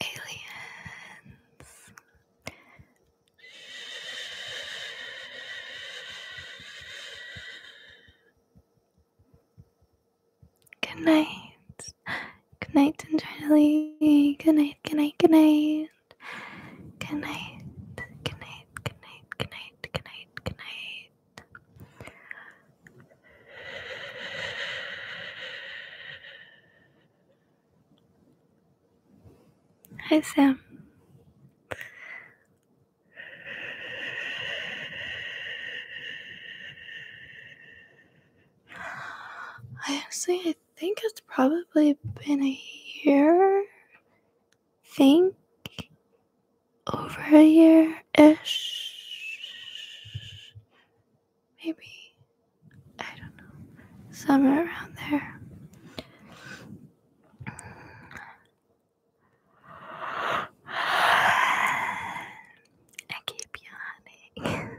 Aliens. Good night. Good night, Charlie. Good night, good night, good night. Good night. Good night. Good night. Good night. Good night. Good night. Hi, Sam. I honestly, I think it's probably been a year think over a year ish. Maybe, I don't know, somewhere around there. I keep yawning.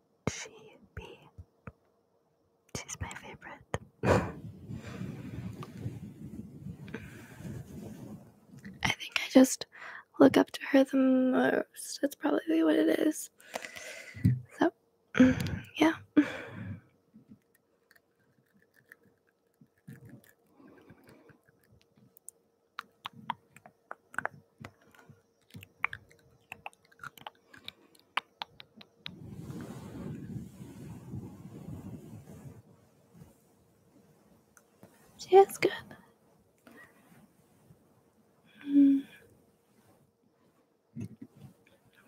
she be? She's my favorite. I think I just look up to her the most. That's probably what it is. So, yeah. She good. Mm.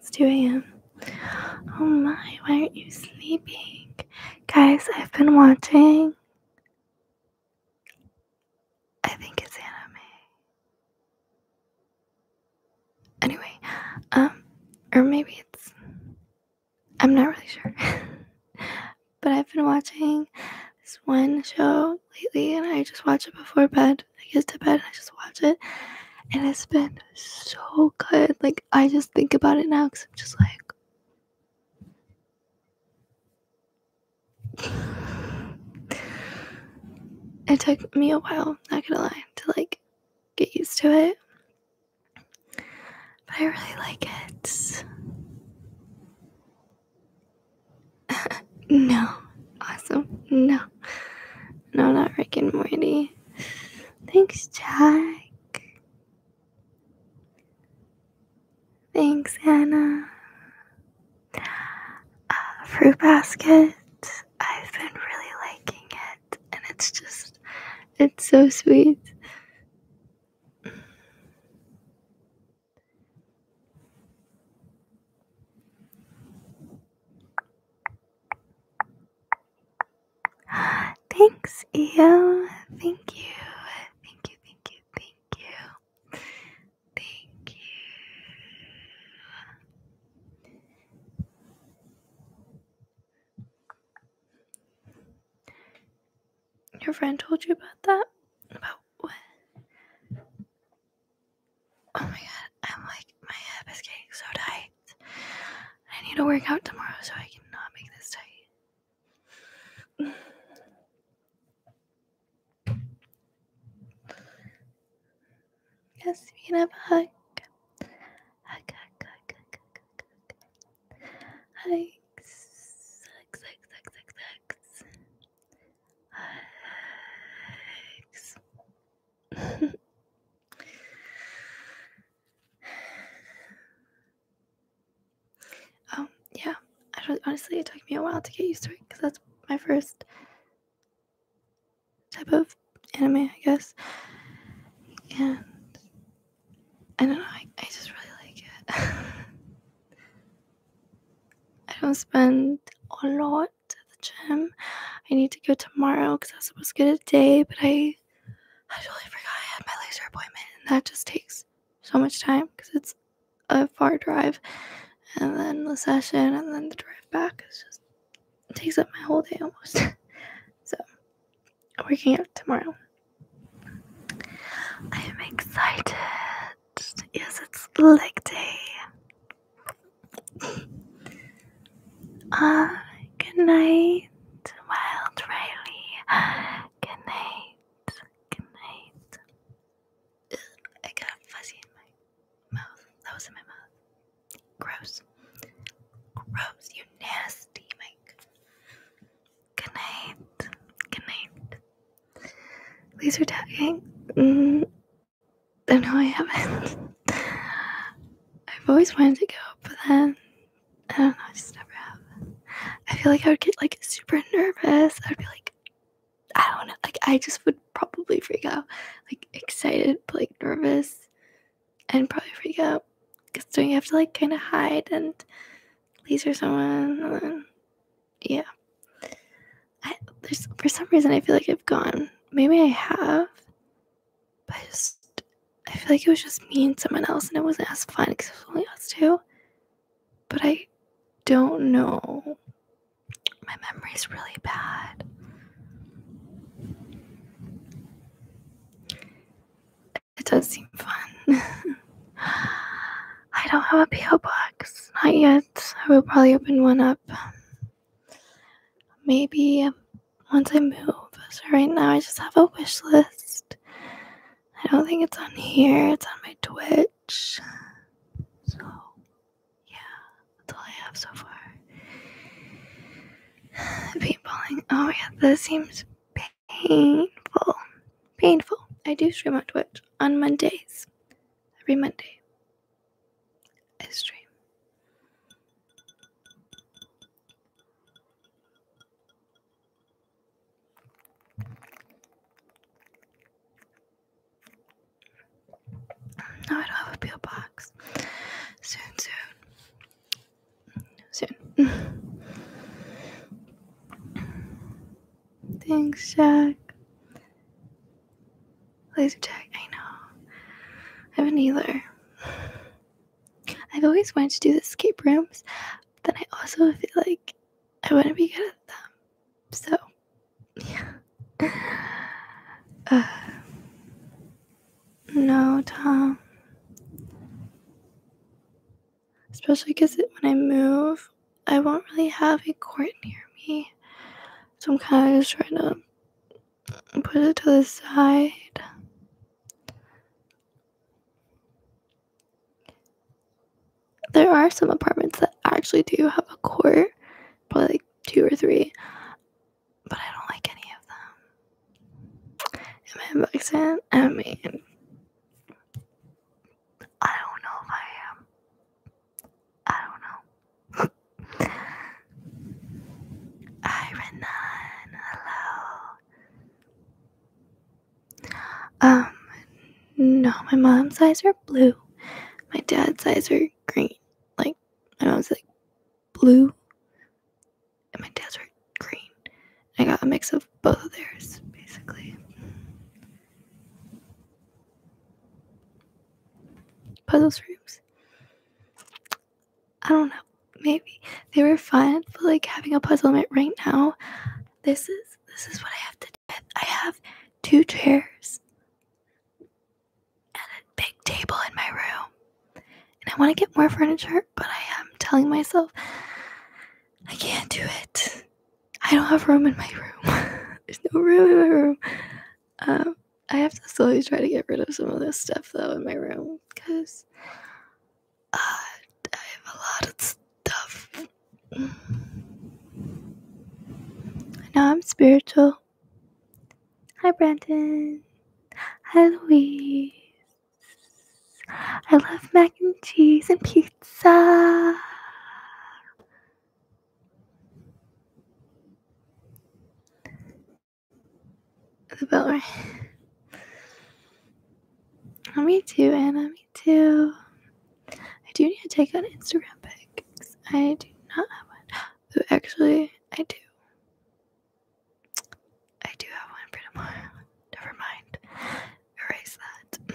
It's 2 a.m. Oh my, why aren't you sleeping? Guys, I've been watching I think it's anime. Anyway, um, or maybe it's. I'm not really sure. but I've been watching this one show lately and I just watch it before bed. I get to bed I just watch it. And it's been so good. Like, I just think about it now because I'm just like, it took me a while, not gonna lie, to like get used to it. But I really like it. no. Awesome. No. No, not Rick and Morty. Thanks, Jack. Thanks, Anna. Uh, fruit basket. I've been really liking it, and it's just, it's so sweet. Thanks, EO. Thank you. Thank you, thank you, thank you. Thank you. Your friend told you about that? About what? Oh my god, I'm like, my hip is getting so tight. I need to work out tomorrow so I cannot make this tight. Yes, we can have a hug. Hug, hug, hug, hug, hug, hug, hug. hugs, hugs, hugs, hugs, hugs. Hugs. um, yeah, I honestly, it took me a while to get used to it because that's my first type of anime, I guess. And I don't know, I, I just really like it. I don't spend a lot at the gym. I need to go tomorrow because I was supposed to go today, but I I totally forgot I had my laser appointment, and that just takes so much time because it's a far drive and then the session and then the drive back is just takes up my whole day almost. so working out tomorrow. I am excited. Yes, it's leg day. Ah, good night, Wild Riley. Ah, good night. Good night. I got fuzzy in my mouth. That was in my mouth. Gross. Gross. You nasty, mic. Good night. Good night. Laser tagging? Mm, mm-hmm. I know I haven't. I've always wanted to go, but then I don't know. I just never have. I feel like I would get like super nervous. I'd be like, I don't know. Like I just would probably freak out. Like excited, but like nervous, and probably freak out. Cause you have to like kind of hide and laser someone? yeah. there's for some reason I feel like I've gone. Maybe I have, but I I feel like it was just me and someone else, and it wasn't as fun because it only us two. But I don't know my memory's really bad. It does seem fun. I don't have a P.O. box. Not yet. I will probably open one up. Maybe um, once I move. So, right now, I just have a wish list. I don't think it's on here, it's on my Twitch. So, yeah, that's all I have so far. Paintballing. Oh yeah, that seems painful. Painful. I do stream on Twitch on Mondays. Every Monday. I stream. No, I don't have a peel box. Soon, soon. Soon. Thanks, Jack. Laser Jack. I know. I haven't either. I've always wanted to do the escape rooms, but then I also feel like I want to be good at them. So uh, no, Tom. Especially because when I move, I won't really have a court near me. So I'm kind of just trying to put it to the side there are some apartments that actually do have a court, probably like two or three, but I don't like any of them. Am I inboxing? I mean, I don't know if I am. I don't know. Hi, Renan. Hello. Um, no, my mom's eyes are blue. My dad's eyes are green. Like, my mom's like blue, and my dad's are green. I got a mix of both of theirs, basically. Puzzles rooms. I don't know. Maybe they were fun, but like having a puzzle right now, this is this is what I have to do. I have two chairs and a big table in my room. And I want to get more furniture, but I am telling myself I can't do it. I don't have room in my room. There's no room in my room. Um, I have to slowly try to get rid of some of this stuff though in my room because uh, I have a lot of stuff now I'm spiritual. Hi, Brandon. Hi, Louise. I love mac and cheese and pizza. The bell rang. Oh, me too, Anna. Me too. I do need to take out Instagram pics. I do not have one. Ooh, actually, I do. I do have one for tomorrow. Never mind. Erase that.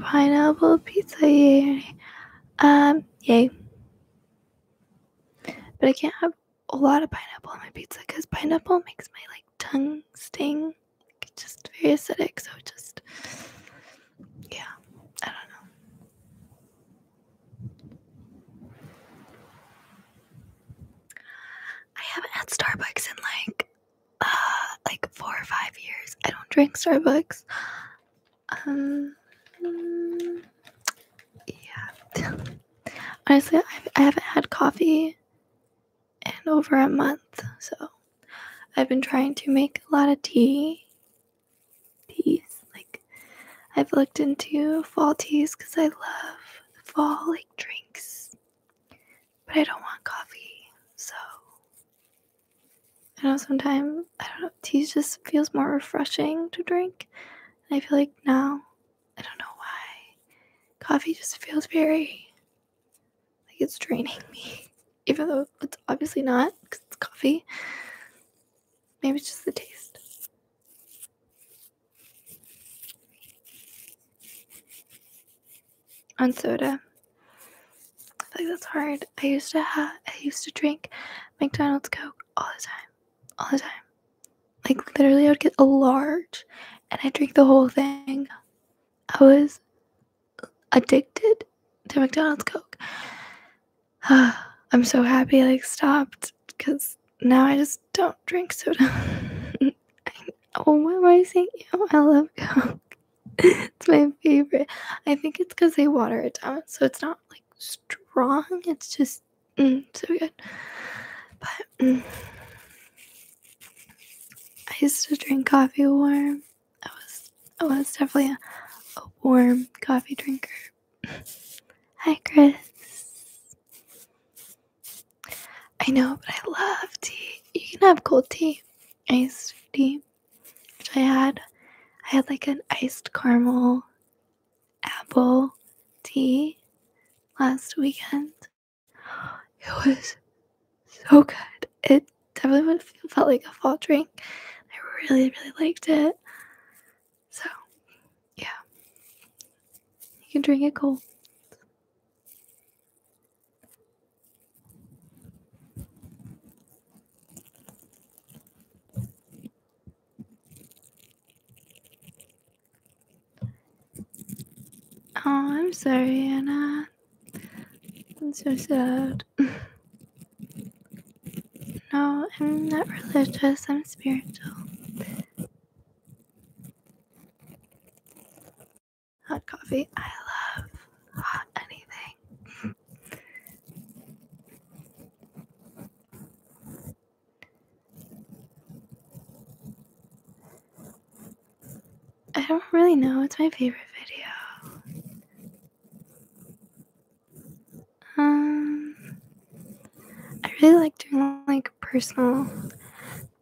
Pineapple pizza, Um, yay. But I can't have a lot of pineapple on my pizza because pineapple makes my like tongue sting it's just very acidic, so just yeah, I don't know. I haven't had Starbucks in like uh like four or five years. I don't drink Starbucks. Um yeah. Honestly, I, I haven't had coffee and over a month. So I've been trying to make a lot of tea. Teas. Like, I've looked into fall teas because I love fall, like, drinks. But I don't want coffee. So I know sometimes, I don't know, tea just feels more refreshing to drink. And I feel like now, I don't know why, coffee just feels very like it's draining me, even though it's obviously not because it's coffee. Maybe it's just the taste. On soda, I feel like that's hard. I used to have, I used to drink McDonald's Coke all the time, all the time. Like literally, I would get a large, and I drink the whole thing. I was addicted to McDonald's Coke. I'm so happy I like stopped because now I just don't drink soda. oh, what am I saying? Oh, I love Coke. it's my favorite. I think it's because they water it down, so it's not like strong. It's just mm, so good. But mm. I used to drink coffee warm. I was I was definitely a, warm coffee drinker. Hi Chris. I know, but I love tea. You can have cold tea. Iced tea. Which I had. I had like an iced caramel apple tea last weekend. It was so good. It definitely felt like a fall drink. I really, really liked it. So, yeah. You can drink it cold. Oh, I'm sorry, Anna. I'm so sad. no, I'm not religious, I'm spiritual. Hot coffee. I love hot anything. I don't really know. It's my favorite video. Um, I really like doing like personal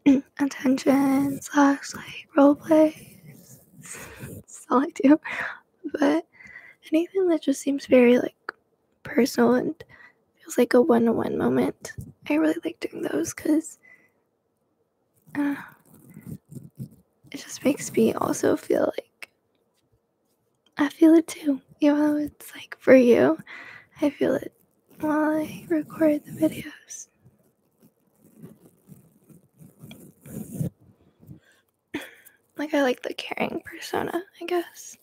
attention slash like roleplay. plays. That's all I do. But anything that just seems very like personal and feels like a one on one moment, I really like doing those because it just makes me also feel like I feel it too. Even though it's like for you, I feel it while I record the videos. Like, I like the caring persona, I guess.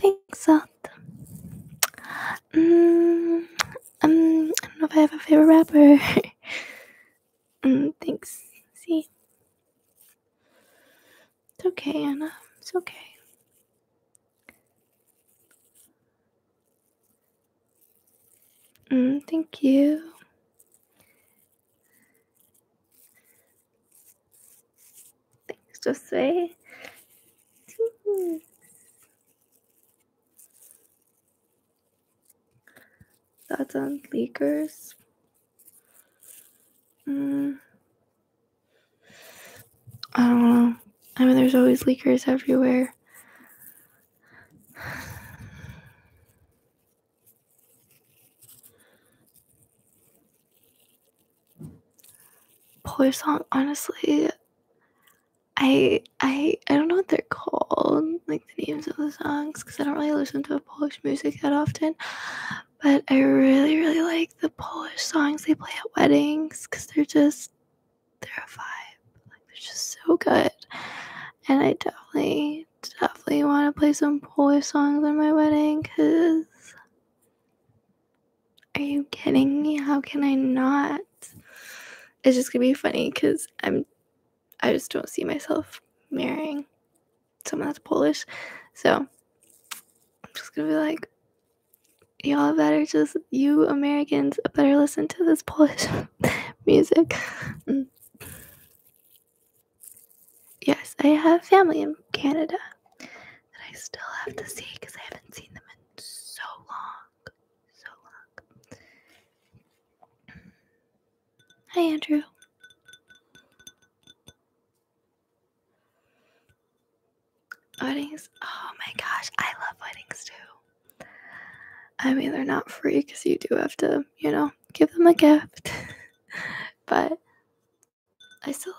Thanks, Odd. Mm, um, I don't know if I have a favorite rapper. mm, thanks. See. It's okay, Anna. It's okay. Mm, thank you. Thanks, Jose. Thanks. That's on leakers. Mm. I don't know. I mean, there's always leakers everywhere. Polish song, honestly, I I I don't know what they're called, like the names of the songs, because I don't really listen to Polish music that often. But I really, really like the Polish songs they play at weddings because they're just, they're a vibe. Like, they're just so good. And I definitely, definitely want to play some Polish songs on my wedding because are you kidding me? How can I not? It's just gonna be funny because I'm, I just don't see myself marrying some of that's Polish. So I'm just gonna be like, y'all better just, you Americans better listen to this Polish music. yes, I have family in Canada that I still have to see because I haven't seen them in so long. So long. Hi, Andrew. Weddings? Oh my gosh, I love weddings too. I mean, they're not free because you do have to, you know, give them a gift. but I still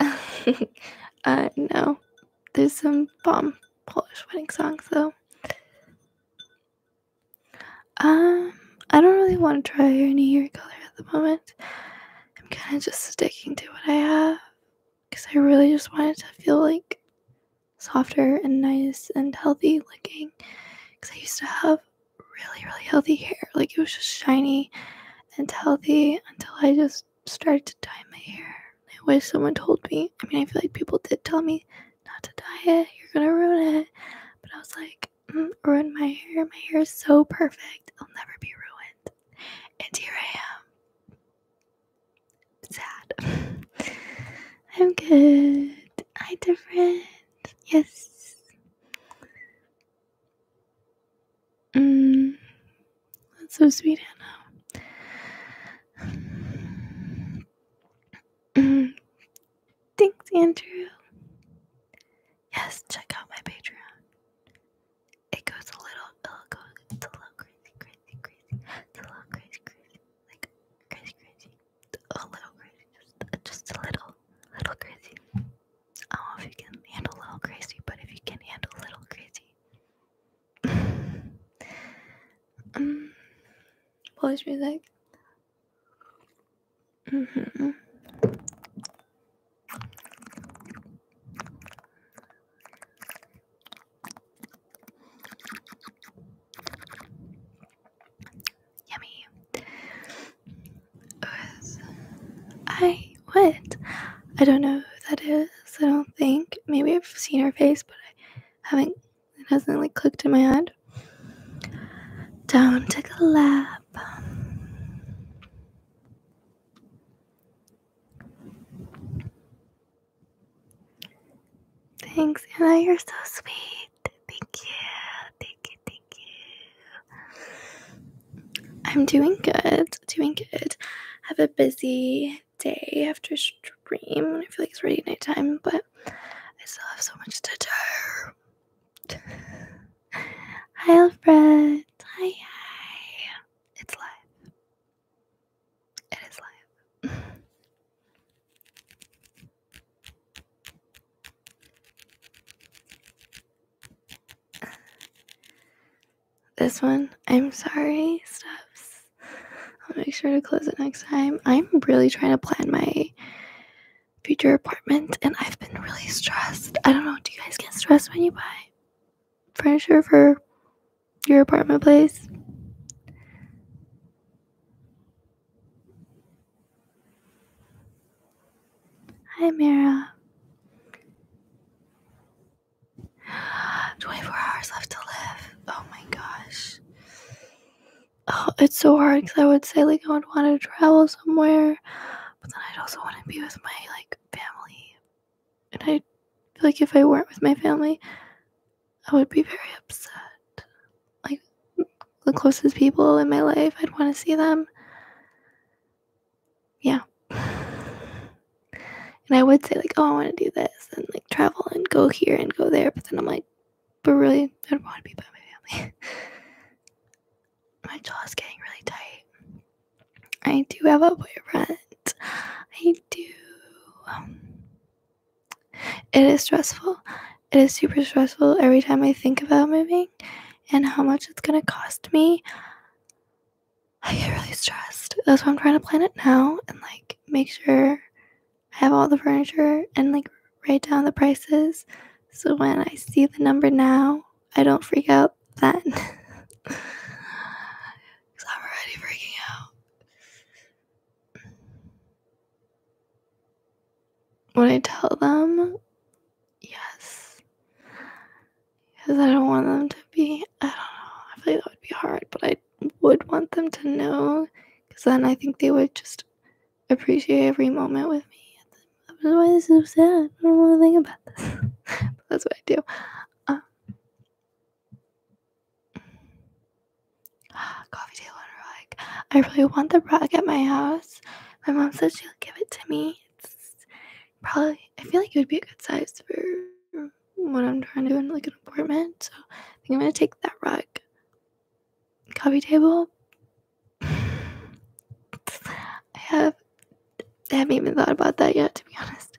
love weddings. Uh, no. There's some bomb Polish wedding songs though. Um, I don't really want to try any hair color at the moment. I'm kind of just sticking to what I have because I really just wanted to feel like softer and nice and healthy looking. Because I used to have really, really healthy hair, like it was just shiny and healthy until I just started to dye my hair. I wish someone told me. I mean, I feel like people did tell me not to dye it, you're gonna ruin it. But I was like, like, my hair. My hair is so perfect. It'll never be ruined. And here I am. Sad. I'm good. Hi, different. Yes. Mm, that's so sweet, Hannah. Mm, Thanks, Andrew. Yes, check out my Patreon. It goes a little, it'll go, a little crazy, crazy, crazy. a little crazy, crazy, like crazy, crazy. A little crazy, just, a little, little crazy. I don't know if you can handle little crazy, but if you can handle little crazy. um, Polish music. Mm-hmm. Yummy. I what? I don't know who that is. I don't think. Maybe I've seen her face, but I haven't it hasn't like clicked in my head. Down, take a lap. Thanks, Anna. You're so sweet. Thank you. Thank you. Thank you. I'm doing good. Doing good. Have a busy day after stream. I feel like it's already nighttime, but I still have so much to do. hi, Alfred. Hi, hi. It's live. It is live. this one, I'm sorry, Steps. I'll make sure to close it next time. I'm really trying to plan my future apartment and I've been really stressed. I don't know, do you guys get stressed when you buy furniture for your apartment place? Hi, Mira. 24 hours left to live. Oh my gosh oh, it's so hard because I would say like I would want to travel somewhere, but then I'd also want to be with my like family, and I feel like if I weren't with my family, I would be very upset. Like the closest people in my life, I'd want to see them. Yeah. And I would say like, oh, I want to do this and like travel and go here and go there, but then I'm like, but really, i don't want to be by my family. my jaw's getting really tight. I do have a boyfriend. I do. Um, it is stressful. It is super stressful every time I think about moving and how much it's going to cost me. I get really stressed. That's why I'm trying to plan it now and like make sure I have all the furniture and like write down the prices so when I see the number now, I don't freak out then. I'm already freaking out. When I tell them, yes. Because I don't want them to be, I don't know, I feel like that would be hard, but I would want them to know. Because then I think they would just appreciate every moment with me. That's why this is so sad. I don't want to think about this. that's what I do. Um, coffee table and like, I really want the rug at my house. My mom said she'll give it to me. It's probably, I feel like it would be a good size for what I'm trying to do in like an apartment. So I think I'm gonna take that rug, coffee table, I have haven't even thought about that yet, to be honest.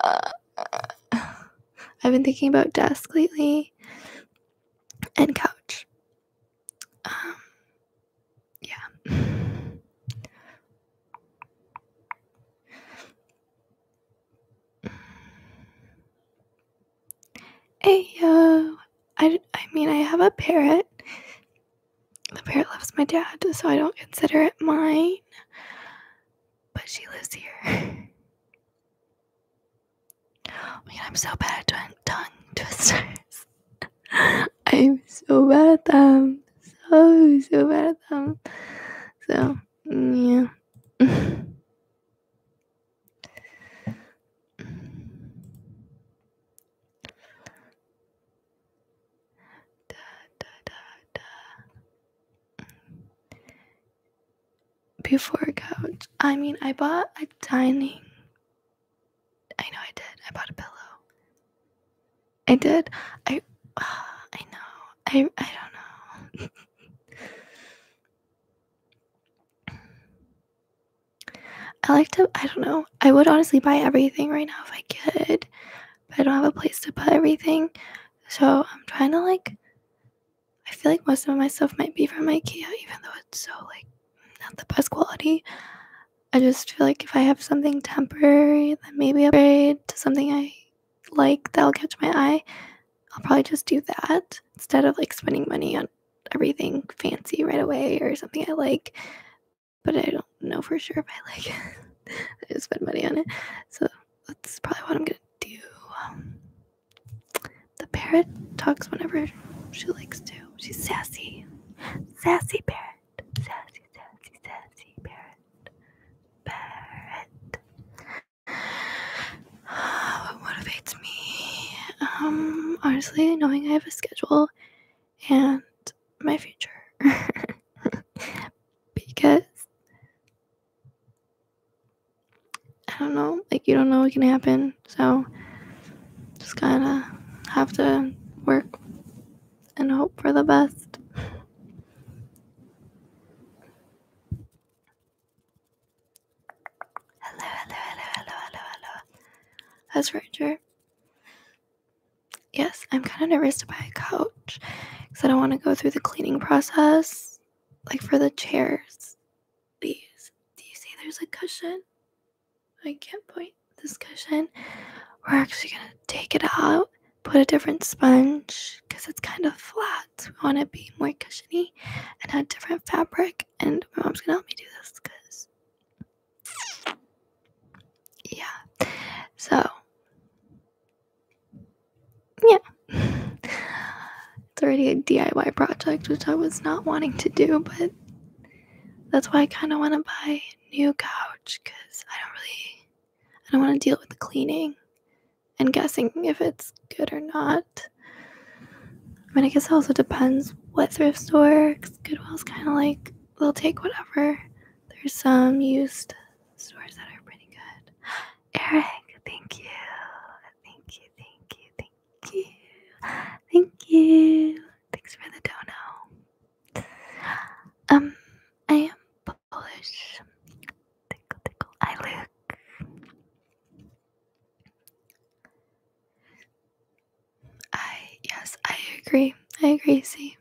Uh, I've been thinking about desk lately and couch. Um, yeah. Ayo. Uh, I, I mean, I have a parrot. The parrot loves my dad, so I don't consider it mine. But she lives here. Oh my I'm so bad at tongue twisters. I'm so bad at them. So, so bad at them. So, mm, yeah. Before couch, I mean, I bought a dining. I know I did. I bought a pillow. I did. I. I know. I. I don't know. I like to, I don't know. I would honestly buy everything right now if I could, but I don't have a place to put everything. So I'm trying to like, I feel like most of my stuff might be from Ikea, even though it's so like not the best quality. I just feel like if I have something temporary, then maybe upgrade to something I like that'll catch my eye, I'll probably just do that instead of like spending money on everything fancy right away or something I like, but I don't know for sure if I like I just spend money on it. So that's probably what I'm gonna do. Um, the parrot talks whenever she likes to. She's sassy. Sassy parrot. Sassy, sassy, sassy parrot. Parrot. Oh, what motivates me. Um, honestly, knowing I have a schedule and my future. because I don't know, like, you don't know what can happen. So, just kinda have to work and hope for the best. Hello, hello, hello, hello, hello, hello. That's Ranger. Yes, I'm kind of nervous to buy a couch because I don't want to go through the cleaning process. Like for the chairs, please. Do you see there's a cushion? I can't point this cushion. We're actually going to take it out, put a different sponge because it's kind of flat. We want to be more cushiony and add different fabric and my mom's gonna help me do this because, yeah. So, yeah, it's already a DIY project, which I was not wanting to do, but that's why I kind of want to buy a new couch because I don't really, I don't want to deal with the cleaning and guessing if it's good or not. I mean, I guess it also depends what thrift store. Cause Goodwill's kind of like they'll take whatever. There's some used stores that are pretty good. Eric, thank you, thank you, thank you, thank you, thank you. Thanks for the dono. Um, I am Polish. Tickle, tickle. I look. I yes, I agree. I agree, see.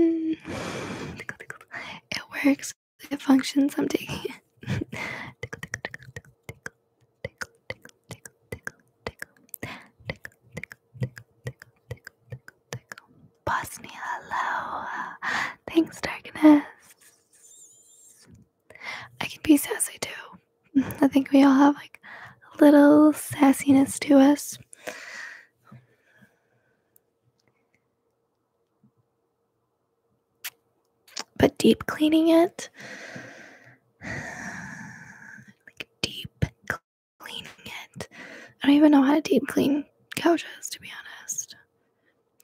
It works. It functions. I'm taking it. Bosnia, hello. Thanks, darkness. I can be sassy too. I think we all have like a little sassiness to us. But deep cleaning it, like deep cleaning it. I don't even know how to deep clean couches, to be honest.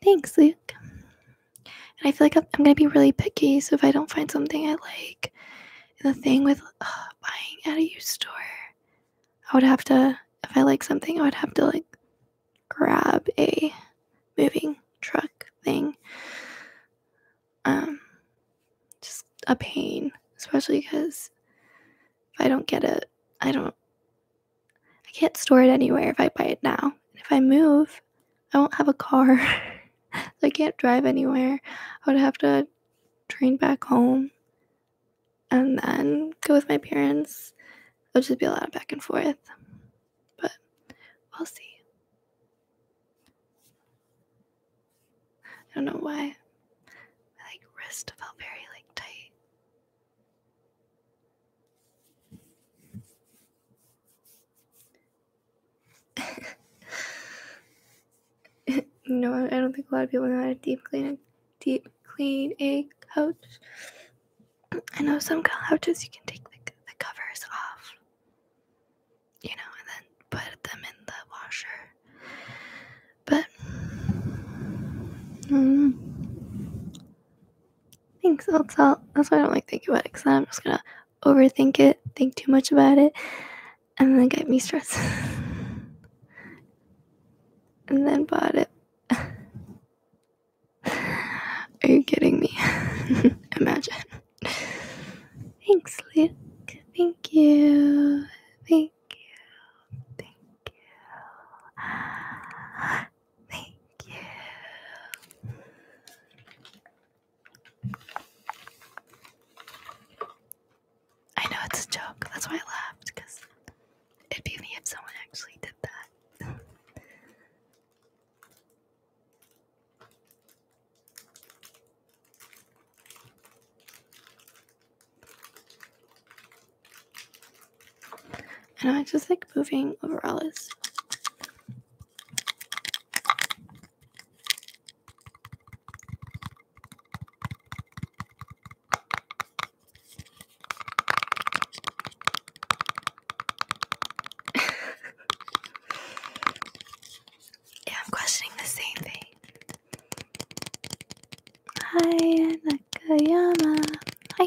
Thanks, Luke and I feel like I'm, gonna be really picky. So if I don't find something I like, the thing with uh, buying at a used store, I would have to. If I like something, I would have to like grab a moving truck thing. Um, just a pain, especially because if I don't get it, I don't. I can't store it anywhere if I buy it now. If I move, I won't have a car. I can't drive anywhere. I would have to train back home and then go with my parents. It'll just be a lot of back and forth. But we'll see. I don't know why. My like wrist felt very like tight. you know, I don't think a lot of people know how to deep clean deep clean a couch. I know some couches you can take the, covers off, you know, and then put them in the washer. But mm, I think so. That's all. That's why I don't like thinking about it. Cause I'm just gonna overthink it, think too much about it, and then get me stressed. and then bought it. Are you kidding me? Imagine. Thanks, Luke. Thank you. Thank you. Thank you. Thank you. I know it's a joke. That's why I laughed because it'd be me if someone actually did that. And I just like moving overall is I'm questioning the same thing. Hi, Nakayama. Hi.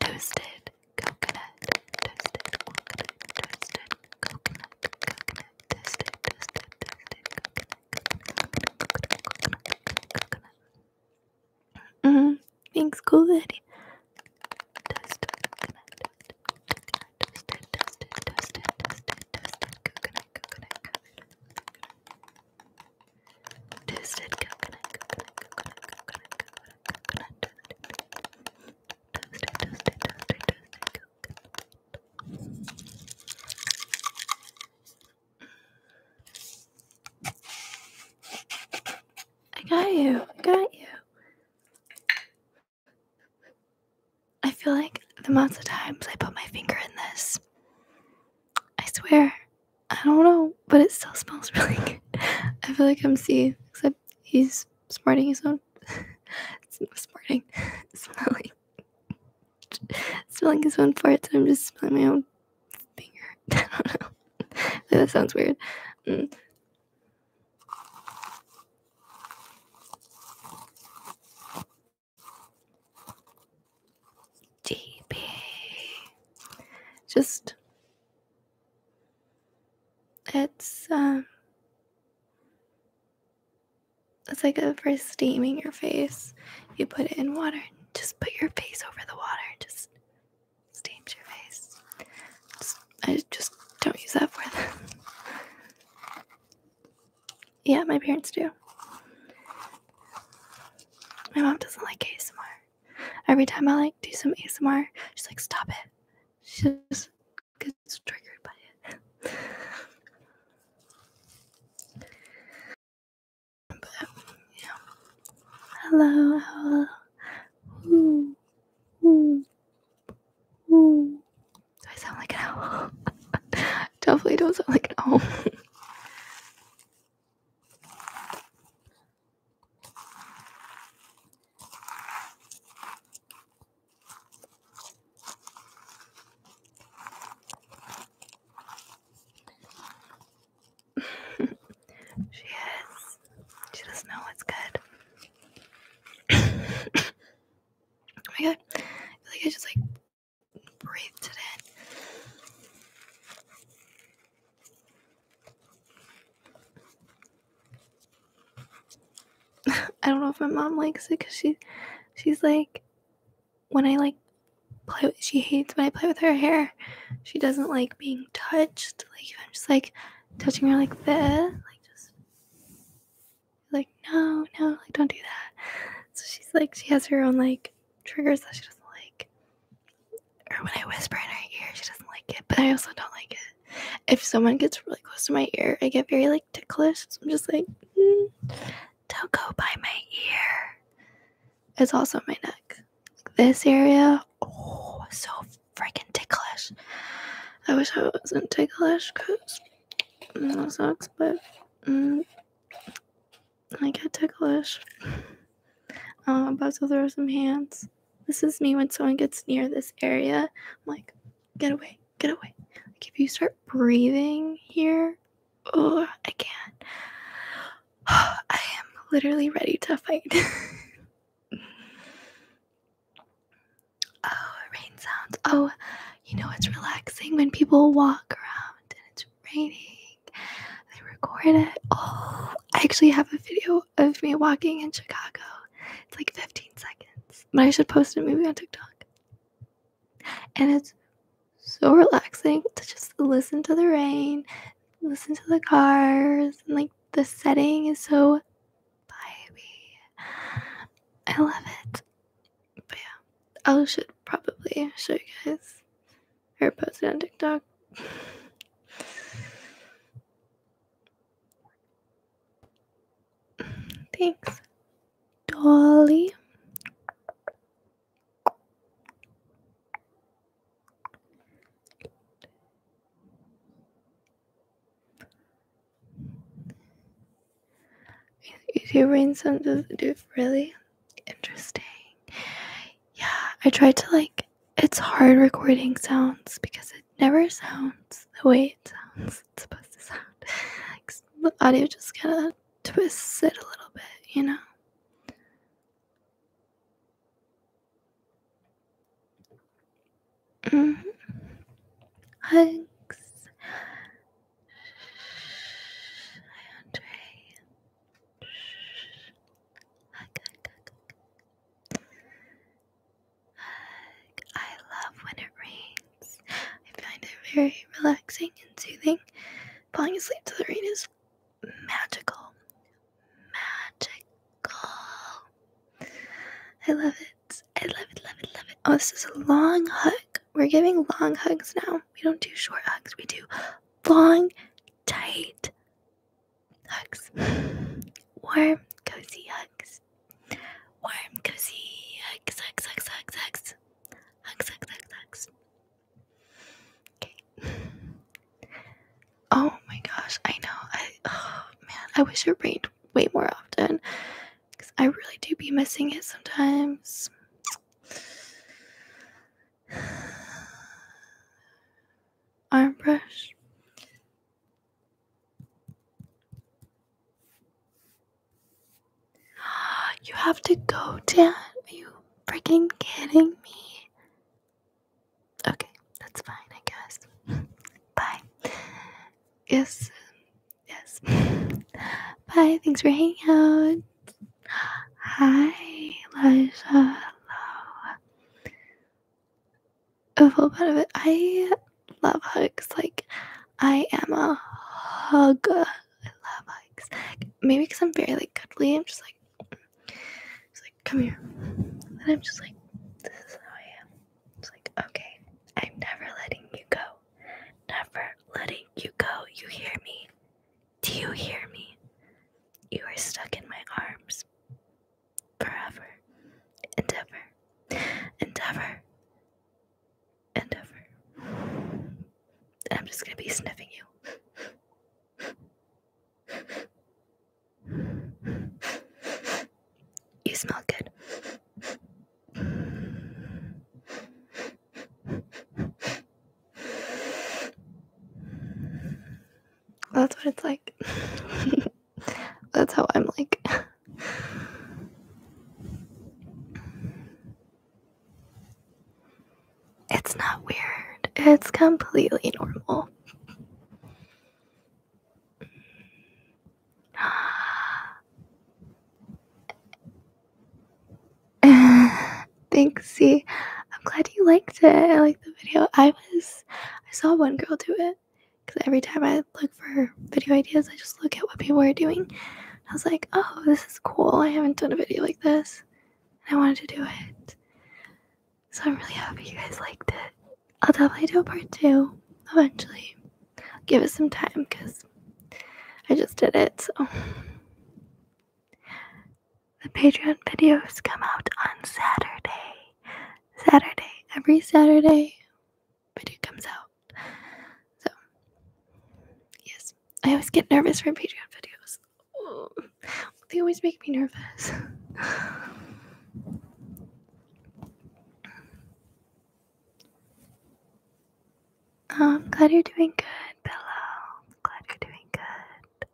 toasted coconut, toasted coconut, toasted coconut, coconut, toasted, toasted, toasted coconut, coconut, coconut, coconut. mm Thanks, cool lady. Toasted coconut, coconut, coconut, coconut, coconut, coconut. Toasted, toasted, toasted, toasted coconut. I got you. I got you. I feel like the amounts of times I put my finger in this, I swear, I don't know, but it still smells really good. I feel like MC, except he's smarting his own. smarting. Smelling. smelling his own farts, and I'm just smelling my own finger. I don't know. that sounds weird. Mm. GB. Just it's um it's like a, for steaming your face. You put it in water just put your face over the water. Just steams your face. I just don't use that for them. yeah, my parents do. My mom doesn't like ASMR. Every time I like do some ASMR, she's like, stop it. She just gets triggered by it. but, yeah. Hello, hello. Ooh, ooh, ooh. Do I sound like an owl? Definitely don't sound like an owl. she is. She doesn't know what's good. oh my god. I feel like I just like breathed it in. I don't know if my mom likes it because she, she's like, when I like play, with, she hates when I play with her hair. She doesn't like being touched. Like I'm just like touching her like this, like no, no, like don't do that. So she's like, she has her own like triggers that she doesn't like or when I whisper in her ear, she doesn't like it, but I also don't like it. If someone gets really close to my ear, I get very like ticklish. I'm just like, mm, don't go by my ear. It's also my neck. This area, oh, so freaking ticklish. I wish I wasn't ticklish because that sucks, but mm. I get ticklish. I'm um, about to throw some hands. This is me when someone gets near this area. I'm like, get away, get away. Like if you start breathing here, oh, I can't. I am literally ready to fight. oh, rain sounds. Oh, you know it's relaxing when people walk around and it's raining. They recorded. Oh, I actually have a video of me walking in Chicago. It's like 15 seconds, but I should post it maybe on TikTok. And it's so relaxing to just listen to the rain, listen to the cars, and like the setting is so vibey. I love it. But yeah, I should probably show you guys I post it on TikTok. Thanks, Dolly. YouTube rain sound does it do really interesting yeah, I tried to like, it's hard recording sounds because it never sounds the way it sounds it's supposed to sound. the audio just kind of twists it a little bit, you know? Mm-hmm. Hugs. Andre. Hug, hug, hug, hug. Hug. I love when it rains. I find it very relaxing and soothing. Falling asleep to the rain is magical. Magical. I love it. I love it, love it, love it. Oh, this is a long hug. We're giving long hugs now. We don't do short hugs, we do long, tight Hugs. Warm, cozy hugs. Warm, cozy hugs, hugs, hugs, hugs, hugs. Hugs, hugs, hugs, Okay. Oh my gosh, I know. I oh man, I wish it rained way more often. Cause I really do be missing it sometimes. arm brush. You have to go, Dan. Are you freaking kidding me? Okay, that's fine, I guess. Bye. Yes. Yes. Bye. Thanks for hanging out. Hi, Elijah. Hello a whole part of it. I love hugs. Like, I am a hugger. I love hugs. Maybe because I'm very like cuddly. I'm just like, it's like, come here. And I'm just like, this is how I am. It's like, okay, I'm never letting you go. Never letting you go. You hear me? Do you hear me? You are stuck in my arms forever and ever and ever and ever. And I'm just going to be sniffing you. You smell good. That's what it's like. That's how I'm like. It's not weird. It's completely normal. Thanks, see. I'm glad you liked it. I like the video. I was I saw one girl do it because every time I look for video ideas, I just look at what people are doing. I was like, oh, this is cool. I haven't done a video like this. And I wanted to do it. So I'm really happy you guys liked it. I'll definitely do a part two eventually. give it some time because I just did it. So the Patreon videos come out on Saturday. Saturday. Every Saturday, video comes out. So, yes. I always get nervous for Patreon videos. they always make me nervous. I'm um, glad you're doing good, Pillow. I'm glad you're doing good.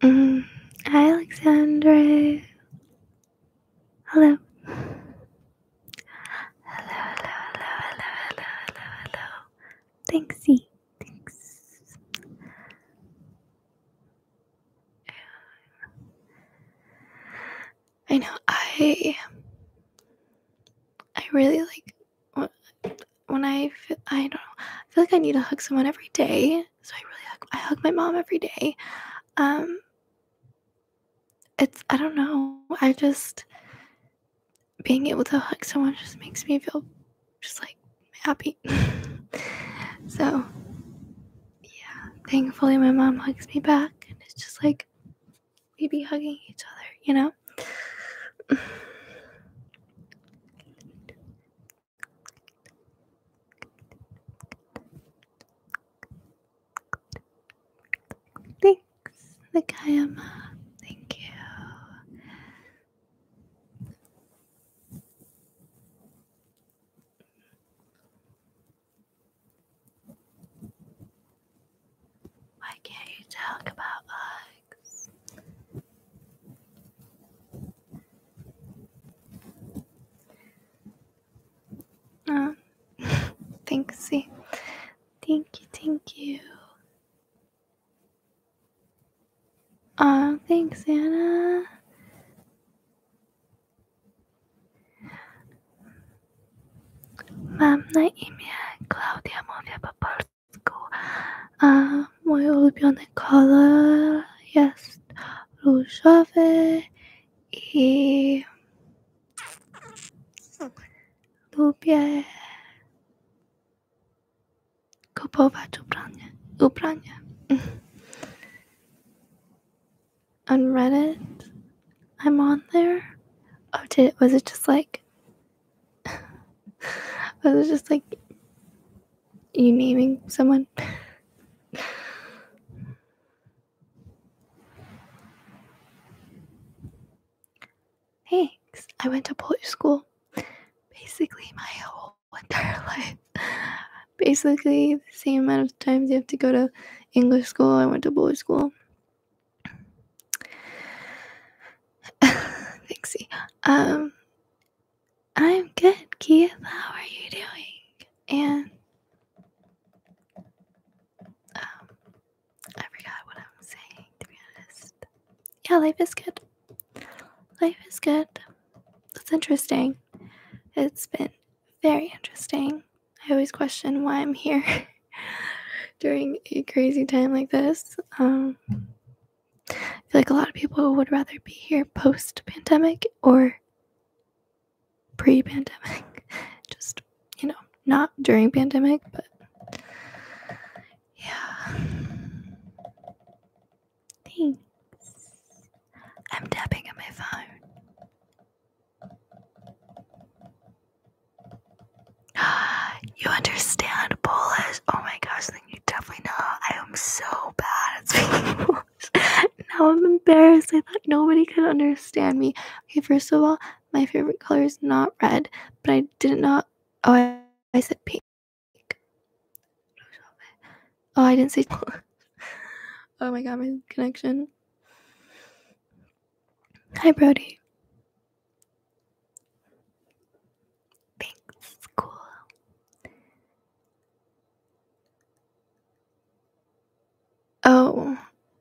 Mm, Hello. Hello, hello, hello, hello, hello, hello, hello. Thanks, Thanks. I know I I really like when I feel, I don't know, I feel like I need to hug someone every day. So I really hug, I hug my mom every day. Um, it's I don't know. I just being able to hug someone just makes me feel just like happy. so yeah, thankfully my mom hugs me back, and it's just like we be hugging each other, you know. Thanks, Nakayama. Thank you. Why can't you talk about bugs? Ah, you. Thank you, thank you. Ah, thanks, Anna. Mam na imię Klaudia, mówię po go. Uh, moje ulubione kolor jest różowy i lubię kupować ubranie. ubranie. on Reddit, I'm on there. Or did was it just like was it just like you naming someone? Thanks. I went to Polish school basically my whole entire life. Basically, the same amount of times you have to go to English school, I went to Polish school. Thanks. Um, I'm good, Keith. How are you doing? And um, I forgot what I was saying, to be honest. Yeah, life is good. Life is good. That's interesting. It's been very interesting. I always question why I'm here during a crazy time like this. Um, I feel like a lot of people would rather be here post pandemic or pre pandemic. Just, you know, not during pandemic, but yeah. Thanks. I'm tapping on my phone. you understand Polish? Oh my gosh, you definitely know I am so bad at speaking English. now I'm embarrassed. I thought nobody could understand me. Okay, first of all, my favorite color is not red, but I did not. Oh, I, I said pink. Oh, I didn't say. oh my god, my connection. Hi, Brody. Thanks, cool. Oh,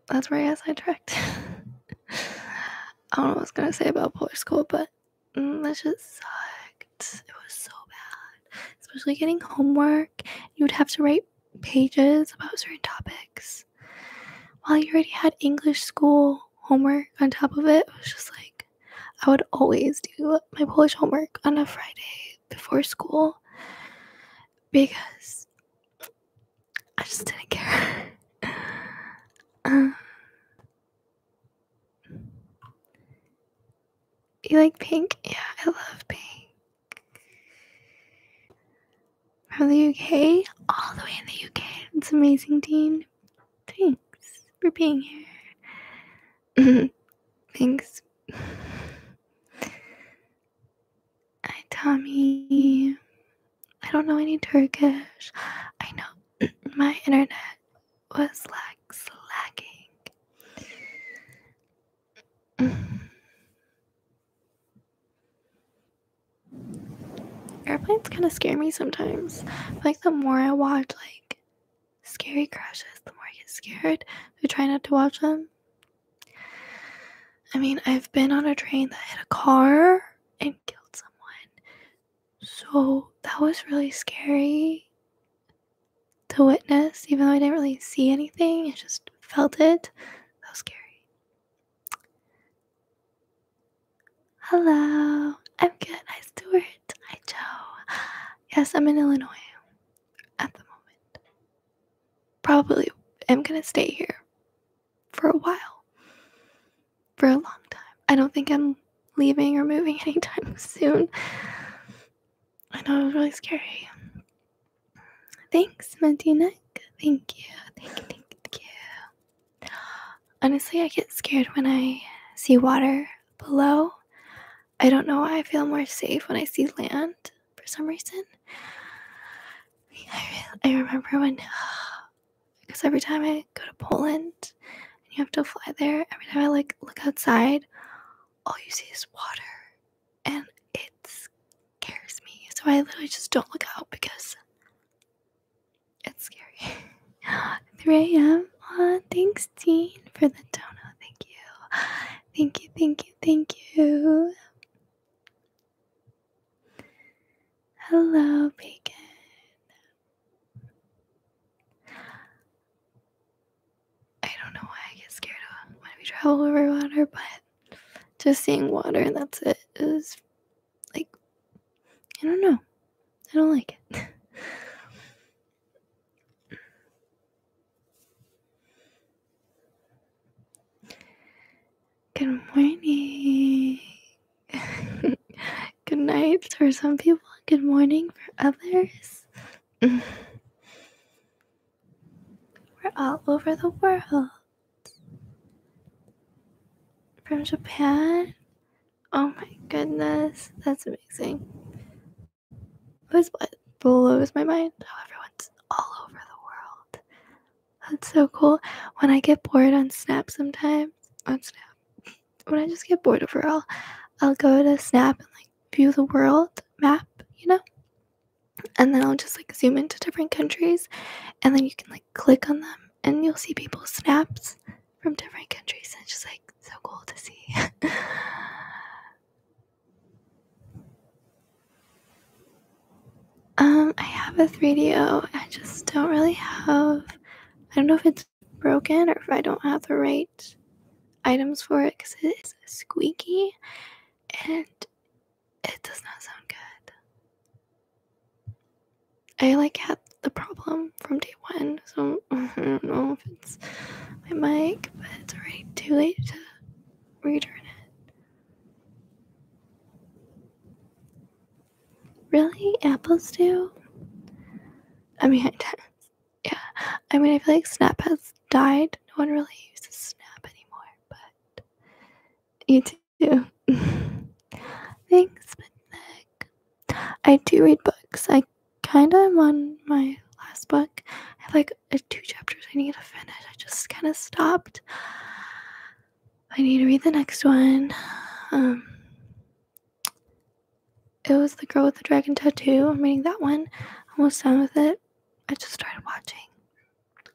that's where I got sidetracked. I don't know what I was gonna say about Polish School, but mm, that just sucked. It was so bad, especially getting homework. You would have to write pages about certain topics. While you already had English school homework on top of it, it was just like I would always do my Polish homework on a Friday before school because I just didn't care. Um, you like pink? Yeah, I love pink. From the UK, all the way in the UK. It's amazing, Dean. Thanks for being here. Thanks. Tommy. I don't know any Turkish. I know my internet was like slacking. Airplanes kind of scare me sometimes. like the more I watch like scary crashes, the more I get scared. I try not to watch them. I mean, I've been on a train that hit a car and killed someone. So that was really scary to witness, even though I didn't really see anything, I just felt it. That was scary. Hello. I'm good. Hi, Stuart. Hi, Joe. Yes, I'm in Illinois at the moment. Probably am going to stay here for a while, for a long time. I don't think I'm leaving or moving anytime soon. I know it was really scary. Thanks, Medina. Thank you. Thank you. Thank you. Honestly, I get scared when I see water below. I don't know why I feel more safe when I see land for some reason. I, I remember when, because every time I go to Poland and you have to fly there, every time I like look outside, all you see is water and it scares me. So I literally just don't look out because it's scary. 3 a.m. Oh, thanks, Dean, for the donut. Thank you. Thank you, thank you, thank you. Hello, Bacon. I don't know why I get scared of when we travel over water, but just seeing water and that's it is like, I don't know. I don't like it. Good morning. good night for some people, good morning for others. We're all over the world. From Japan Oh my goodness, that's amazing. This what blows my mind. How everyone's all over the world. That's so cool. When I get bored on Snap sometimes, on Snap, when I just get bored overall, I'll go to Snap and like view the world map, you know? And then I'll just like zoom into different countries and then you can like click on them and you'll see people's snaps from different countries. And it's just like, so cool to see. um, I have a 3DO. just don't really have. I don't know if it's broken or if I don't have the right items for it because it's squeaky and it does not sound good. I like had the problem from day one. So I don't know if it's my mic, but it's already too late to return it. Really? Apples do? I mean, yeah. I mean, I feel like Snap has died. No one really uses Snap anymore, but you do. Thanks, Mitnick. I do read books. I kind of am on my last book. I have like two chapters I need to finish. I just kind of stopped. I need to read the next one. Um, it was The Girl with the Dragon Tattoo. I'm reading that one. Almost done with it. I just started watching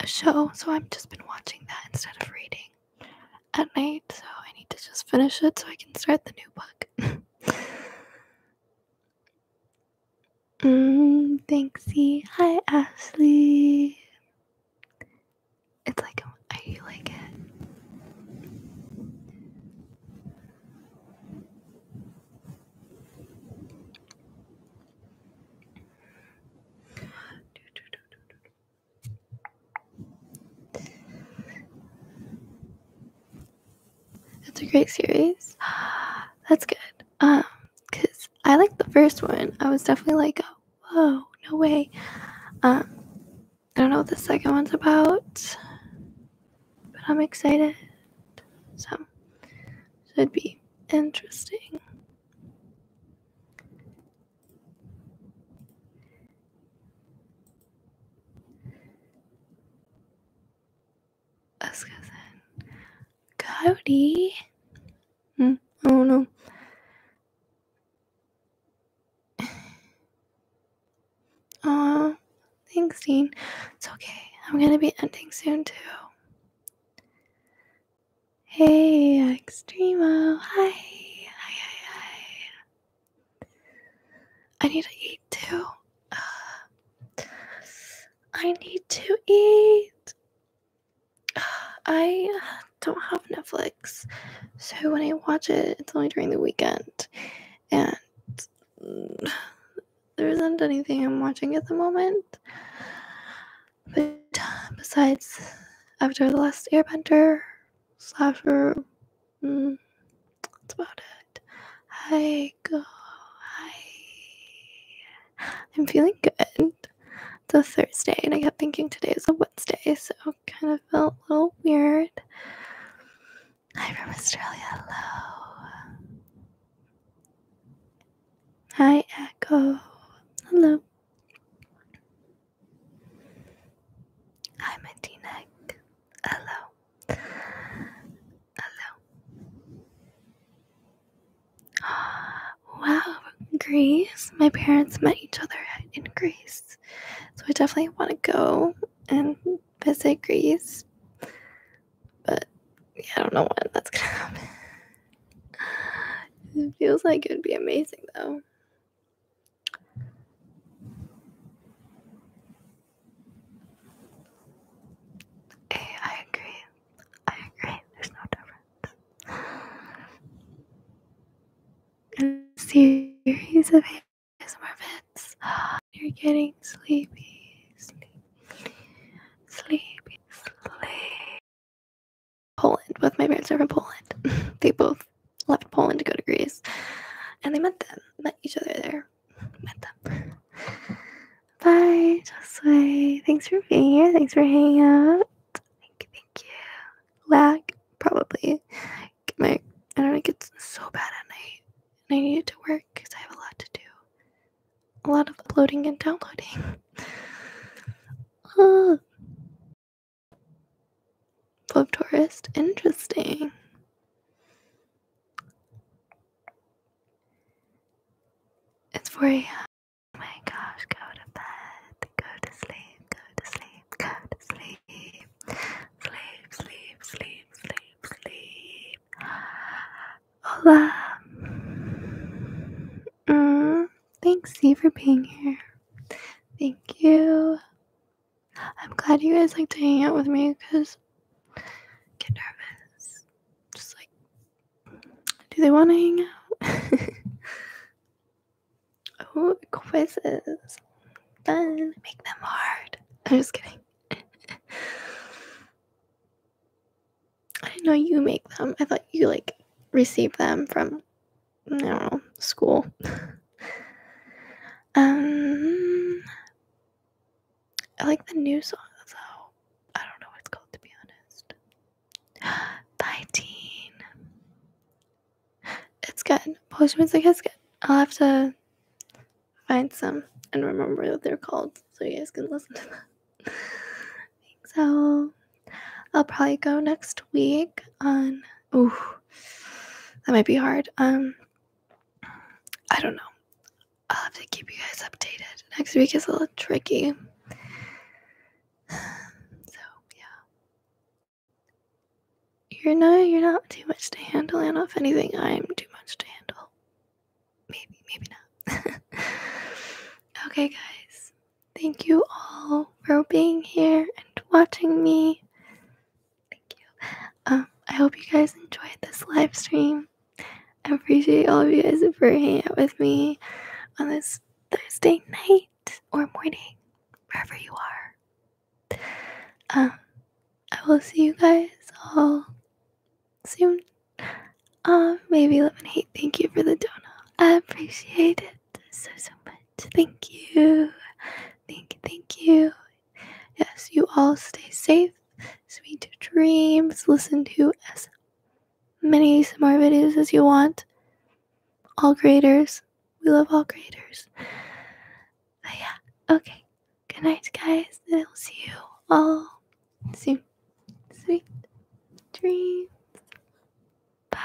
a show, so I've just been watching that instead of reading at night. So I need to just finish it so I can start the new book. Mm, Banksy. Hi, Ashley. It's like, um, I you like it. That's a great series. That's good. Um, cause I liked the first one. I was definitely like, oh, whoa, no way. Um, I don't know what the second one's about, but I'm excited. So, it'd be interesting. Askasen. Cody? Hmm, oh no. Aw, thanks, Dean. It's okay. I'm gonna be ending soon, too. Hey, Extremo. Hi, hi, hi. I need to eat too. Uh, I need to eat. I uh, don't have Netflix, so when I watch it, it's only during the weekend, and there isn't anything I'm watching at the moment. But uh, besides, after the last Airbender, slasher. Mm, that's about it. Hi, go. Hi. I'm feeling good. It's a Thursday, and I kept thinking today is a Wednesday, so it kind of felt a little weird. Hi from Australia. Hello. Hi, Echo. Hello. Hi, Matinek. Hello. Hello. Uh, wow, Greece. My parents met each other in Greece. So I definitely want to go and visit Greece. But yeah, I don't know when that's going to happen. It feels like it would be amazing though. Hey, I agree. I agree. There's no difference. series of events. You're getting sleepy, sleepy, sleepy, sleepy. Poland. Both my parents are from Poland. they both left Poland to go to Greece, and they met them, met each other there here with them. Bye, Josue. Thanks for being here. Thanks for hanging out. Thank you, thank you. Lag, probably. My I don't internet it's so bad at night. And I need it to work because I have a lot to do. A lot of uploading and downloading. oh. Ah. Pop tourist, interesting. It's 4 a.m. Oh my gosh, go to bed. Go to sleep. Go to sleep. Go to sleep. Sleep, sleep, sleep, sleep, sleep. Hola. Mm, thanks, Z, for being here. Thank you. I'm glad you guys like to hang out with me because I get nervous. Just like, do they want to hang out? oh, quizzes. Fun. Make them hard. I'm just kidding. I didn't know you make them. I thought you like received them from, I school. um, I like the new song though. I don't know what it's called to be honest. Bye It's good. Polish music is good. I'll have to find some and remember what they're called so you guys can listen to them. so I'll probably go next week on oh, that might be hard. Um I don't know. I'll have to keep you guys updated. Next week is a little tricky. So yeah. You're not you're not too much to handle, and if anything, I'm too much to handle. Maybe, maybe not. okay guys. Thank you all for being here and watching me. Thank you. Um, I hope you guys enjoyed this live stream. I appreciate all of you guys for hanging out with me on this Thursday night or morning, wherever you are. Um, I will see you guys all soon. Um, maybe hate. Thank you for the donut. I appreciate it so so much. Thank you. Thank you. Thank you. Yes, you all stay safe. Sweet dreams. Listen to as many more videos as you want. All creators. We love all creators. But yeah, okay. Good night, guys. I'll see you all soon. Sweet dreams. Bye.